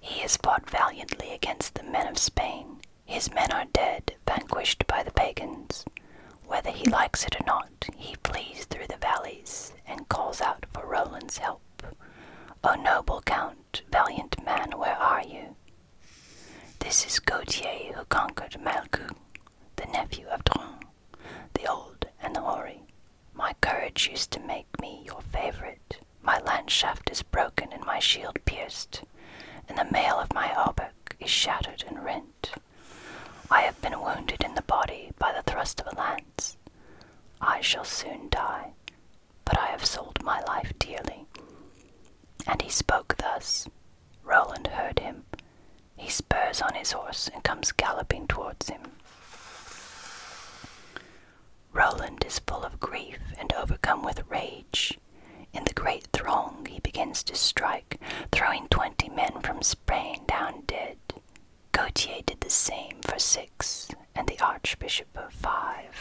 A: He has fought valiantly against the men of Spain. His men are dead, vanquished by the pagans. Whether he likes it or not, he flees through the valleys and calls out for Roland's help. O noble count, valiant man, where are you? This is Gautier who conquered Malcoux, the nephew of Dron, the old and the hoary, my courage used to make me your favorite. My landshaft is broken and my shield pierced, and the mail of my hauberk is shattered and rent. I have been wounded in the body by the thrust of a lance. I shall soon die, but I have sold my life dearly. And he spoke thus. Roland heard him. He spurs on his horse and comes galloping towards him. Roland is full of grief and overcome with rage. In the great throng he begins to strike, throwing twenty men from Spain down dead. Gautier did the same for six, and the Archbishop of five.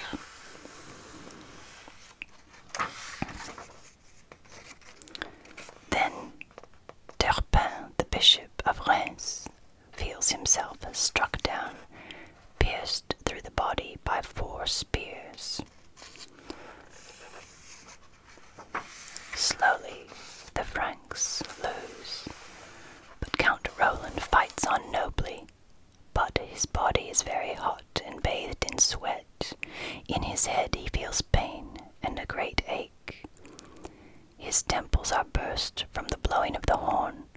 A: Then Turpin, the Bishop of Reims, feels himself struck down, pierced through the body by four spears. Slowly the Franks lose, but Count Roland fights on nobly. But his body is very hot and bathed in sweat. In his head he feels pain and a great ache. His temples are burst from the blowing of the horn,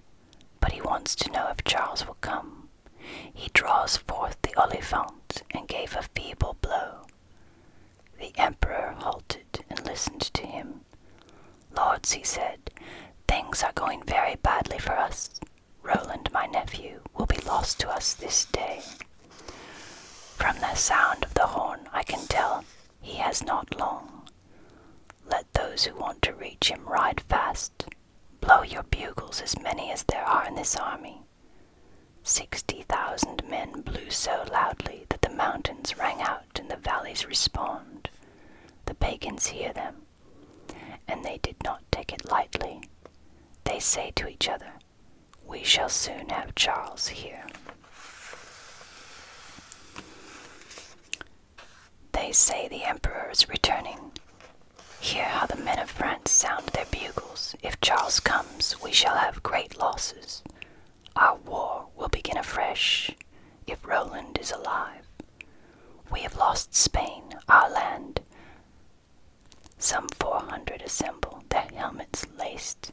A: but he wants to know if Charles will come. He draws forth the olifant and gave a feeble blow. The emperor halted and listened to him. Lords, he said, things are going very badly for us. Roland, my nephew, will be lost to us this day. From the sound of the horn I can tell he has not long. Let those who want to reach him ride fast. Blow your bugles, as many as there are in this army. Sixty thousand men blew so loudly that the mountains rang out and the valleys responded. The pagans hear them, and they did not take it lightly. They say to each other, We shall soon have Charles here. They say the emperor is returning. Hear how the men of France sound their bugles. If Charles comes, we shall have great losses. Our war will begin afresh if Roland is alive. We have lost Spain, our land. Some four hundred assemble, their helmets laced,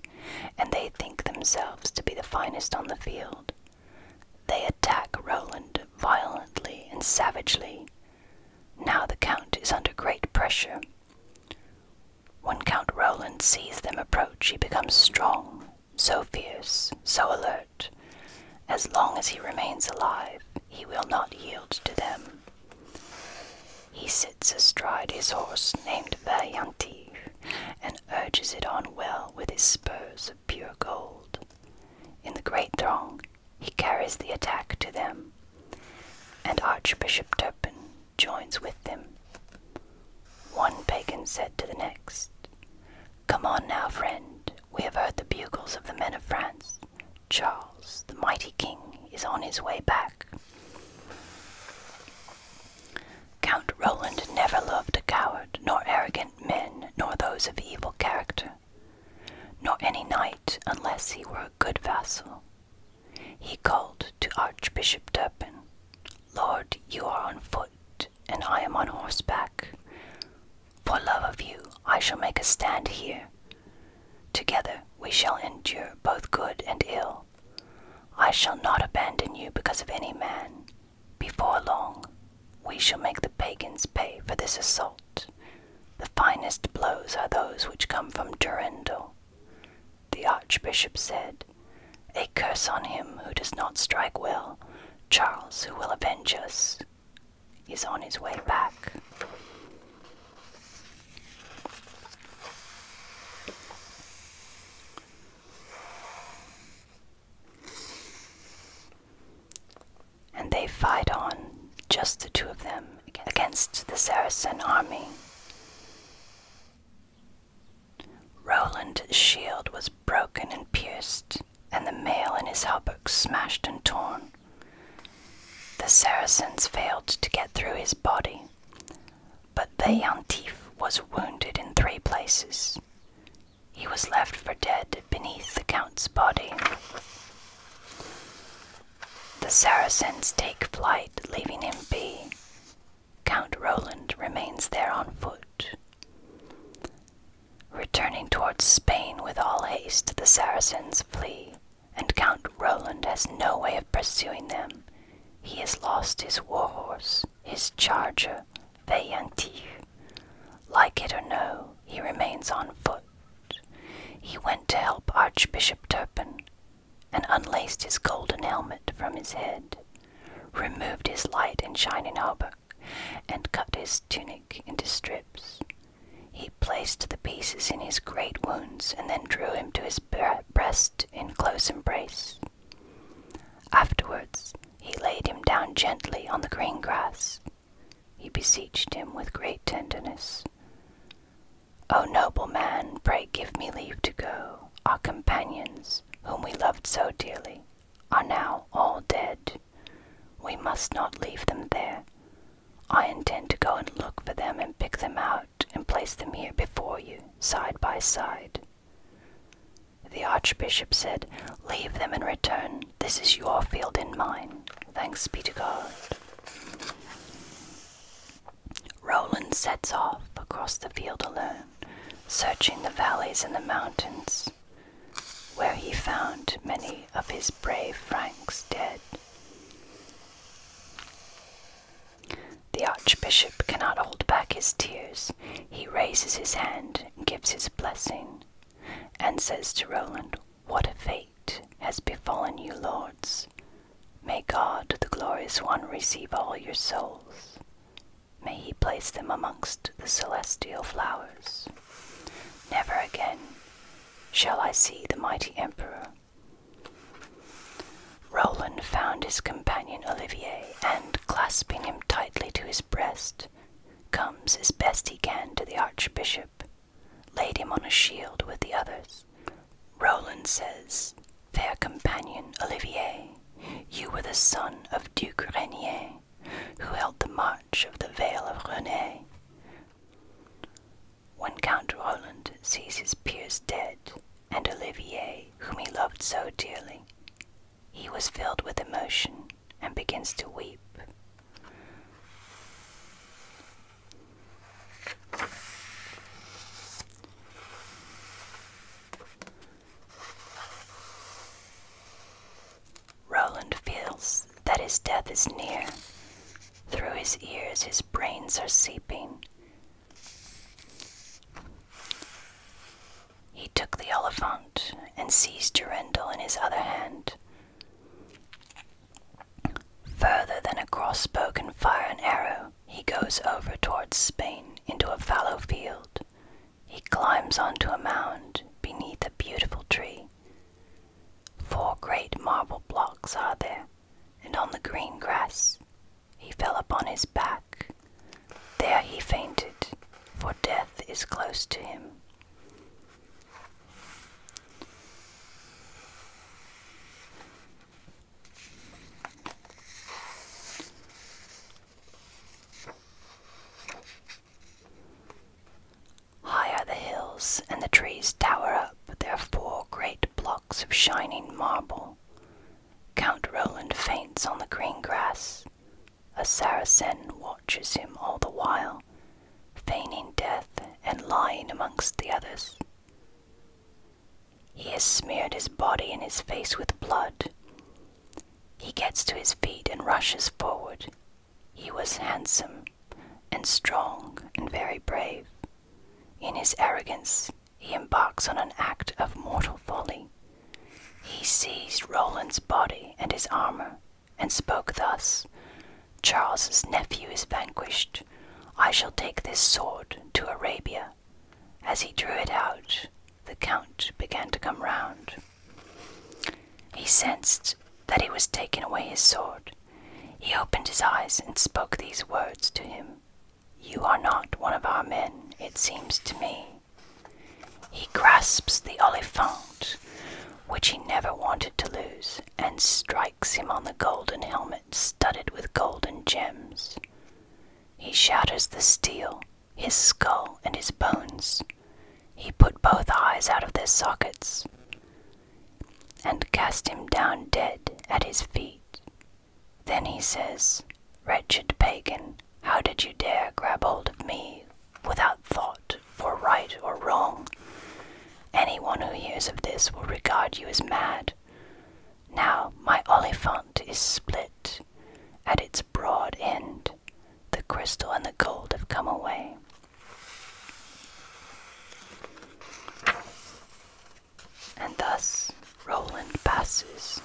A: and they think themselves to be the finest on the field. They attack Roland violently and savagely. Now the Count is under great pressure. When Count Roland sees them approach, he becomes strong, so fierce, so alert. As long as he remains alive, he will not yield to them. He sits astride his horse named Valiantive and urges it on well with his spurs pure gold. In the great throng, he carries the attack to them, and Archbishop Turpin joins with them. One pagan said to the next, Come on now, friend, we have heard the bugles of the men of France. Charles, the mighty king, is on his way back. Count Roland never loved a coward, nor arrogant men, nor those of evil character, nor any knight unless he were a good vassal. He called to Archbishop Turpin, Lord, you are on foot, and I am on horseback. For love of you, I shall make a stand here. Together we shall endure both good and ill. I shall not abandon you because of any man, before long, we shall make the pagans pay for this assault. The finest blows are those which come from Durendal. The archbishop said, A curse on him who does not strike well. Charles, who will avenge us, is on his way back. And they fight on, just the two of them, against the Saracen army. Roland's shield was broken and pierced, and the mail in his hauberk smashed and torn. The Saracens failed to get through his body, but the Antif was wounded in three places, he was left for dead beneath the count's body. The Saracens take flight, leaving him be. Count Roland remains there on foot. Returning towards Spain with all haste, the Saracens flee, and Count Roland has no way of pursuing them. He has lost his war horse, his charger, the Yantiju. Like it or no, he remains on foot. He went to help Archbishop Turpin, and unlaced his golden helmet from his head, removed his light and shining hauberk, and cut his tunic into strips. He placed the pieces in his great wounds, and then drew him to his breast in close embrace. Afterwards, he laid him down gently on the green grass. He beseeched him with great tenderness. O noble man, pray give me leave to go. Our companions, whom we loved so dearly, are now all dead. We must not leave them there. I intend to go and look for them and pick them out and place them here before you, side by side. The Archbishop said, Leave them and return. This is your field and mine. Thanks be to God. Roland sets off across the field alone, searching the valleys and the mountains, where he found many of his brave Franks dead. The Archbishop cannot hold back his tears he raises his hand, gives his blessing, and says to Roland, What a fate has befallen you, lords! May God, the glorious one, receive all your souls. May he place them amongst the celestial flowers. Never again shall I see the mighty emperor. Roland found his companion Olivier, and clasping him tightly to his breast, comes as best he can to the Archbishop, laid him on a shield with the others. Roland says, Fair companion Olivier, you were the son of Duke Renier, who held the march of the Vale of Rhone. When Count Roland sees his peers dead, and Olivier, whom he loved so dearly, he was filled with emotion and begins to weep. Roland feels that his death is near. Through his ears, his brains are seeping. He took the elephant and seized Durendal in his other hand. Further than a crossbow can fire an arrow, he goes over towards Spain into a fallow field. He climbs onto a mound beneath a beautiful tree. Four great marble blocks are there, and on the green grass he fell upon his back, there he fainted, for death is close to him. High are the hills, and the trees tower up are four great blocks of shining marble. Count Roland faints on the green grass. A Saracen watches him all the while, feigning death and lying amongst the others. He has smeared his body and his face with blood. He gets to his feet and rushes forward. He was handsome and strong and very brave. In his arrogance, he embarks on an act of mortal folly. He seized Roland's body and his armor, and spoke thus Charles's nephew is vanquished. I shall take this sword to Arabia. As he drew it out, the count began to come round. He sensed that he was taking away his sword. He opened his eyes and spoke these words to him You are not one of our men, it seems to me. He grasps the olifant, which he never wanted to lose, and strikes him on the golden helmet studded with golden gems. He shatters the steel, his skull, and his bones. He put both eyes out of their sockets and cast him down dead at his feet. Then he says, Wretched pagan, how did you dare grab hold of me without thought for right or wrong? Anyone who hears of this will regard you as mad. Now my olifant is split at its broad end. The crystal and the gold have come away. And thus Roland passes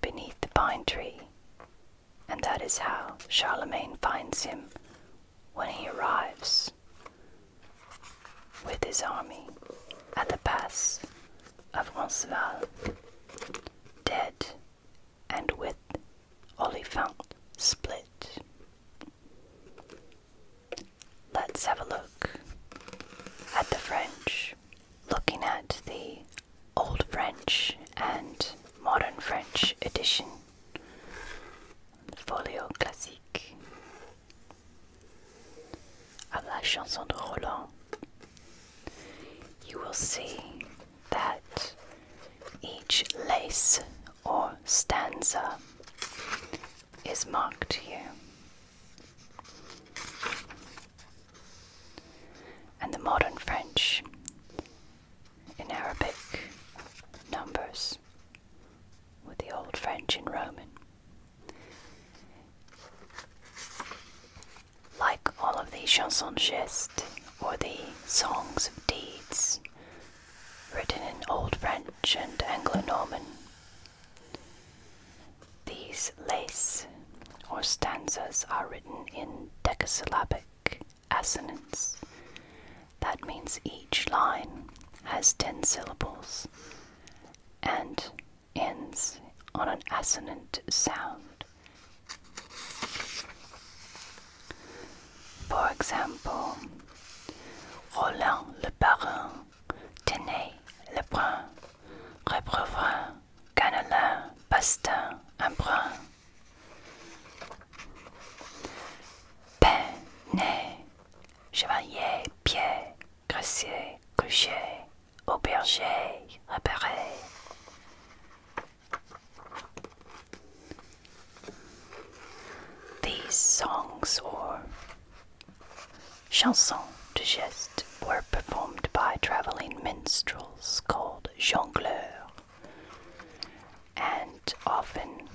A: beneath the pine tree, and that is how Charlemagne finds him when he arrives with his army at the pass of Roncesvalles, dead and with Oliphant split. Let's have a look at the French Looking at the Old French and Modern French edition, Folio Classique of La Chanson de Roland, you will see that each lace or stanza is marked here and the modern French in Arabic numbers with the old French in Roman. Like all of the chansons geste or the songs of deeds written in Old French and Anglo Norman, these lace or stanzas are written in decasyllabic assonance. That means each line has 10 syllables and ends on an assonant sound. For example, Roland le Parrain, Tenay le Brun, Reprevin, cannelin, pastin, embrun, brun. nez, chevalier, pied, gracier, coucher, auberger, repéré. These songs or chansons de geste were performed by traveling minstrels called jongleurs, and often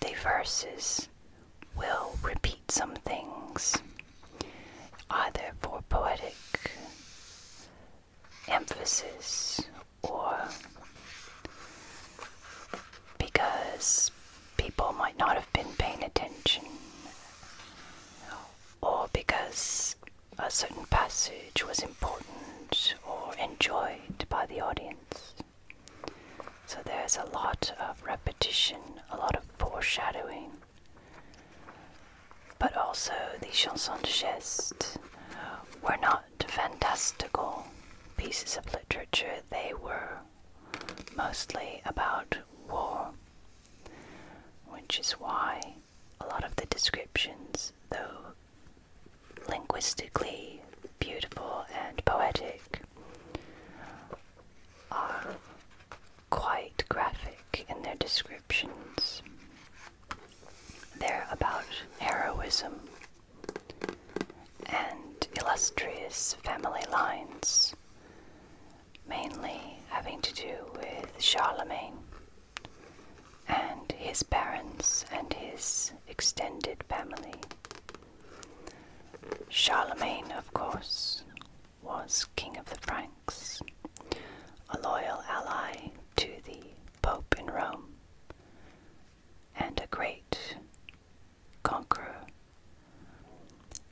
A: the verses will repeat some things, either for poetic emphasis or because people might not have been paying attention, or because a certain passage was important or enjoyed by the audience. So there's a lot of repetition, a lot of foreshadowing, but also the chansons de geste were not fantastical pieces of literature, they were mostly about war, which is why a lot of the descriptions, though linguistically beautiful and poetic, are quite graphic in their descriptions. They're about heroism and illustrious family lines mainly having to do with Charlemagne and his parents and his extended family. Charlemagne, of course, was king of the Franks, a loyal ally to the Pope in Rome, and a great conqueror.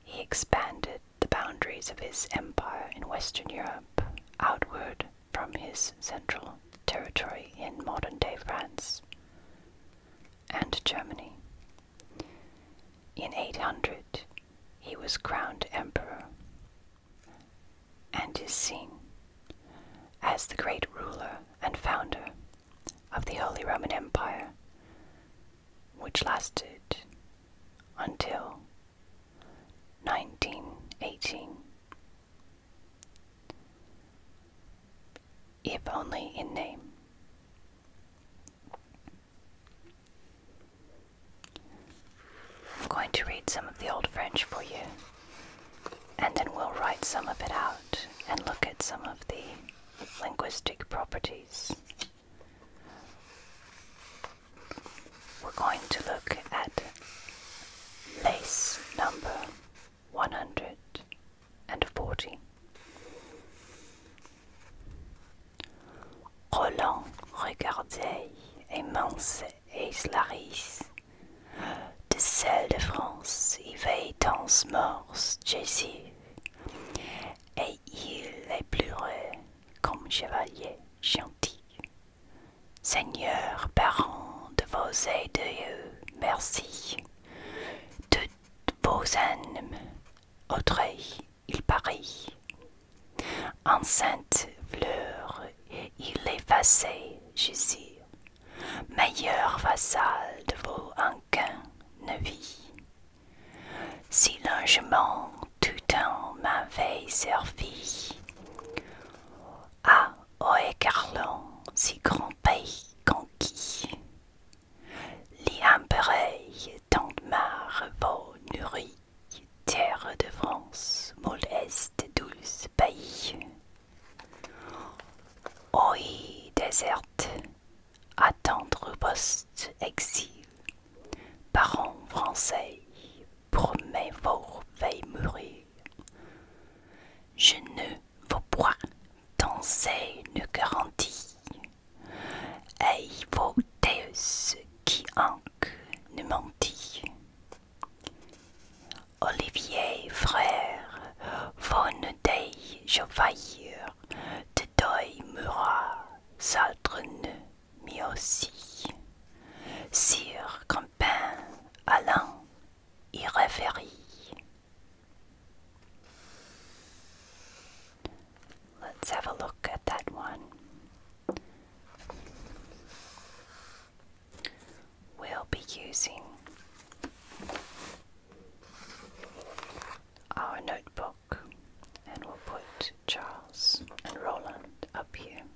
A: He expanded the boundaries of his empire in Western Europe outward from his central territory in modern day France and Germany. In 800, he was crowned emperor and is seen as the great ruler and founder of the Holy Roman Empire, which lasted until 1918. If only in name. I'm going to read some of the Old French for you, and then we'll write some of it out and look at some of the linguistic properties. We're going to look at lace number 140. Roland regardait et mince De celle de France, y veillent morse Jésus. Et il les pleurait comme chevalier gentil. Seigneur, parent de vos dieu merci. Toutes vos âmes, autrui, il parie. enceinte fleur, il effacé, suis. meilleur vassal de vos hanquins ne vit. Si longement tout en veille servie Ah, ô oh, écarlant, si grand pays conquis, li tant mare Vaut nourri terre de France, moleste douce pays. Oi déserte, attendre au poste exil, parents français, promets vos veilles mourir, Je ne vos pas danser une garantie. Et vos déus qui hanque ne mentit. Olivier, frère, von dei je faillir, de deuil mais aussi Sire Campin, Alain y Let's have a look at that one. We'll be using our notebook and we'll put Charles and Roland up here.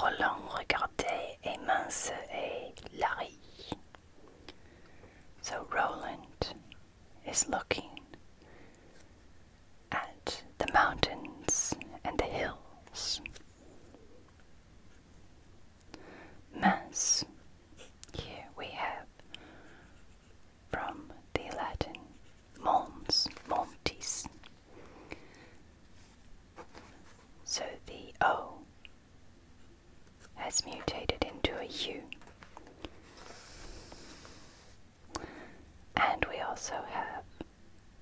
A: Roland regardait mince et Larry. So Roland is looking at the mountains and the hills. Mons. Here we have from the Latin mons, montis. So the O has mutated into a U. And we also have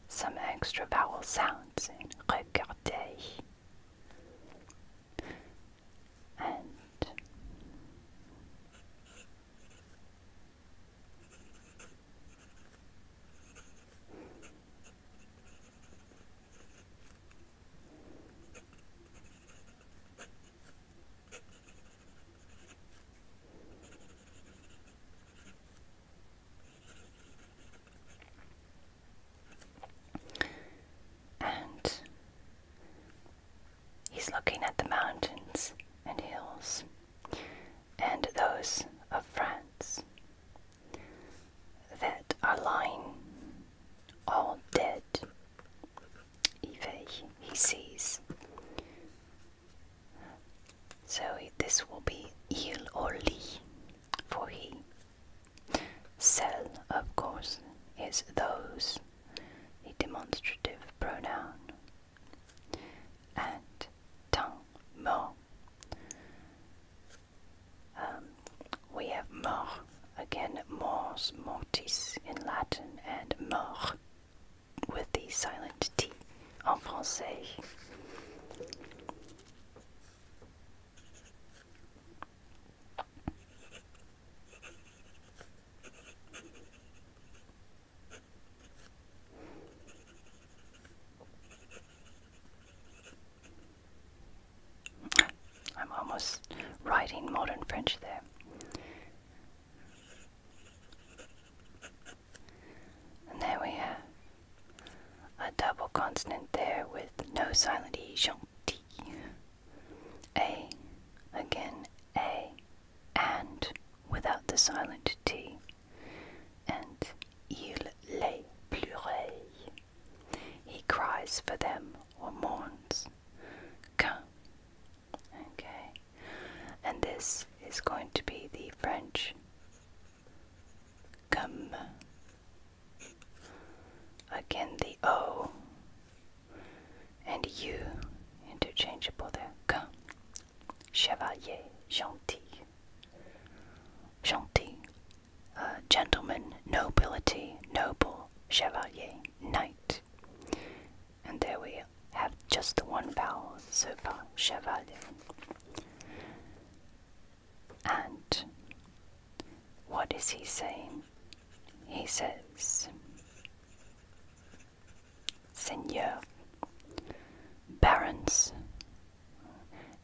A: some extra vowel sounds in regarder and he's looking at the mountains and hills and those of France that are lying all dead. Eve, he sees. So this will be il or li for he. Cell, of course, is those, a demonstrative pronoun. And tang, no. Um, we have mor, again, mors mortis in Latin, and mort with the silent T in français. I'm almost writing modern French there. And there we have a double consonant there with no silent E, gentil. A, again, A, and without the silent T, and il, les, plurel. He cries for them or mourns. Quin. Okay. And this is going to be the French come. Again, the O and you, interchangeable there. Quin. Chevalier gentil. Gentil uh, gentleman, nobility, noble, chevalier, knight. And there we have just the one vowel so chevalier. And what is he saying? He says, Seigneur, barons,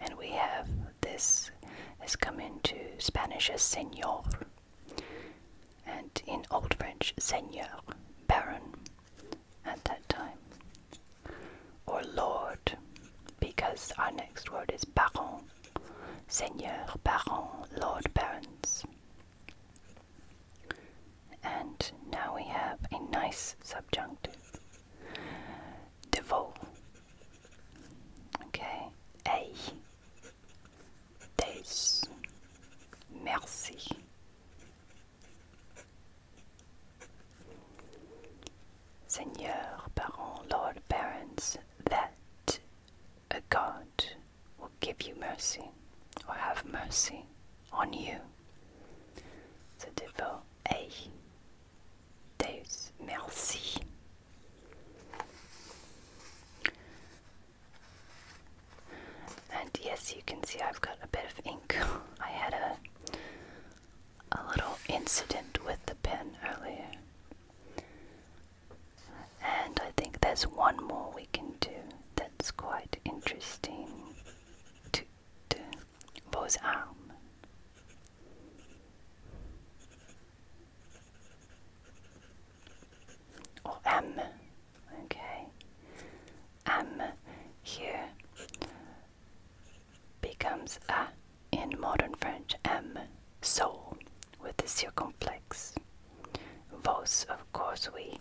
A: and we have this has come into Spanish as seigneur, and in Old French, seigneur, baron, at that time, or lord, because our next word is baron, seigneur, baron, lord, barons. And now we have a nice subjunctive. Devot, Okay. Hey. Days. Merci. Seigneur, parent, Lord, parents, that a God will give you mercy or have mercy on you. The devil, hey. Deus, merci. And yes, you can see I've got a bit of ink. I had a a little incident with the pen earlier. And I think there's one more we can do that's quite interesting. To vos arm or M, okay, M here becomes A in modern French, M, so with the circumflex. Vos, of course, we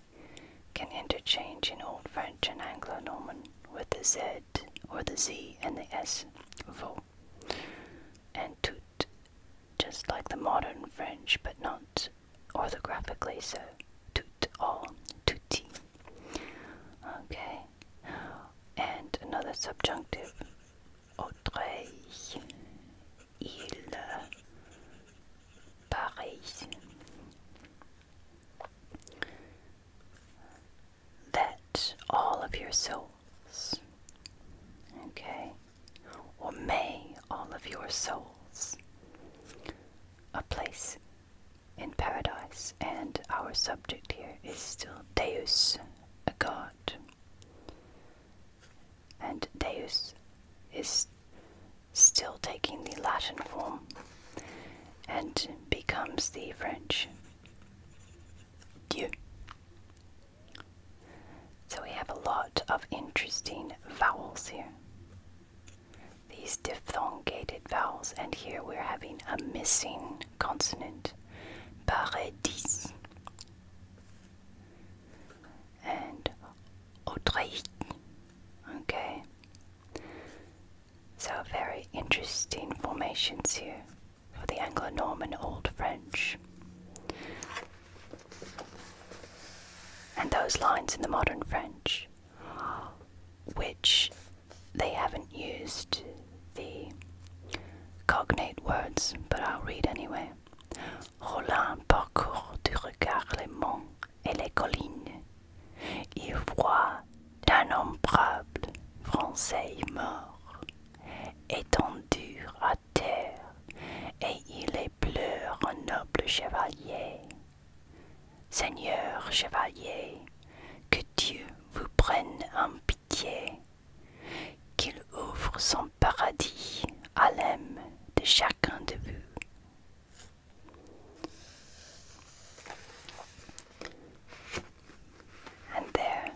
A: can interchange in Old French and Anglo-Norman with the Z or the Z and the S, and tout, just like the modern French, but not orthographically so. Tout all, tutti. Okay, and another subjunctive, Autreil, il, Paris. That all of your soul. Okay? Or may all of your souls. A place in paradise, and our subject here is still Deus, a god. And Deus is still taking the Latin form and becomes the French Dieu. So we have a lot of interesting vowels here. These diphthongated vowels, and here we're having a missing consonant, paradis, and autrique. Okay, so very interesting formations here. For the Anglo Norman Old French. And those lines in the modern French, which they haven't used the cognate words, but I'll read anyway. Roland parcourt du regard les monts et les collines. Il voit d'innombrables Français morts, étendus à et il pleure un noble chevalier. Seigneur chevalier, que Dieu vous prenne en pitié, qu'il ouvre son paradis à l'âme de chacun de vous. And there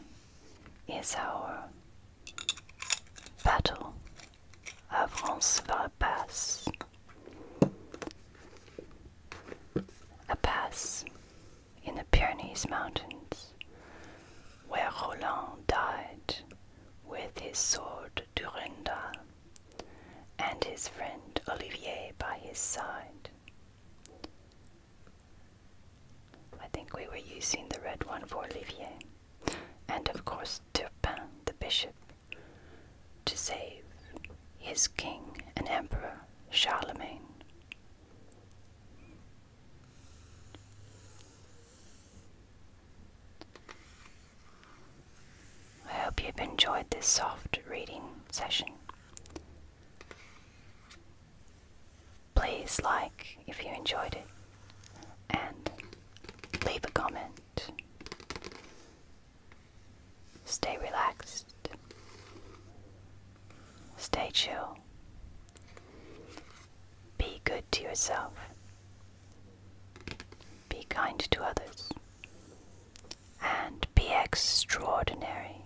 A: is our Battle. of vers la A pass in the Pyrenees Mountains, where Roland died with his sword Durendal and his friend Olivier by his side. I think we were using the red one for Olivier. And of course, Turpin, the bishop, to save his king and emperor, Charlemagne. I hope you've enjoyed this soft reading session. Please like if you enjoyed it and leave a comment. Stay relaxed. Stay chill. Be good to yourself. Be kind to others. And be extraordinary.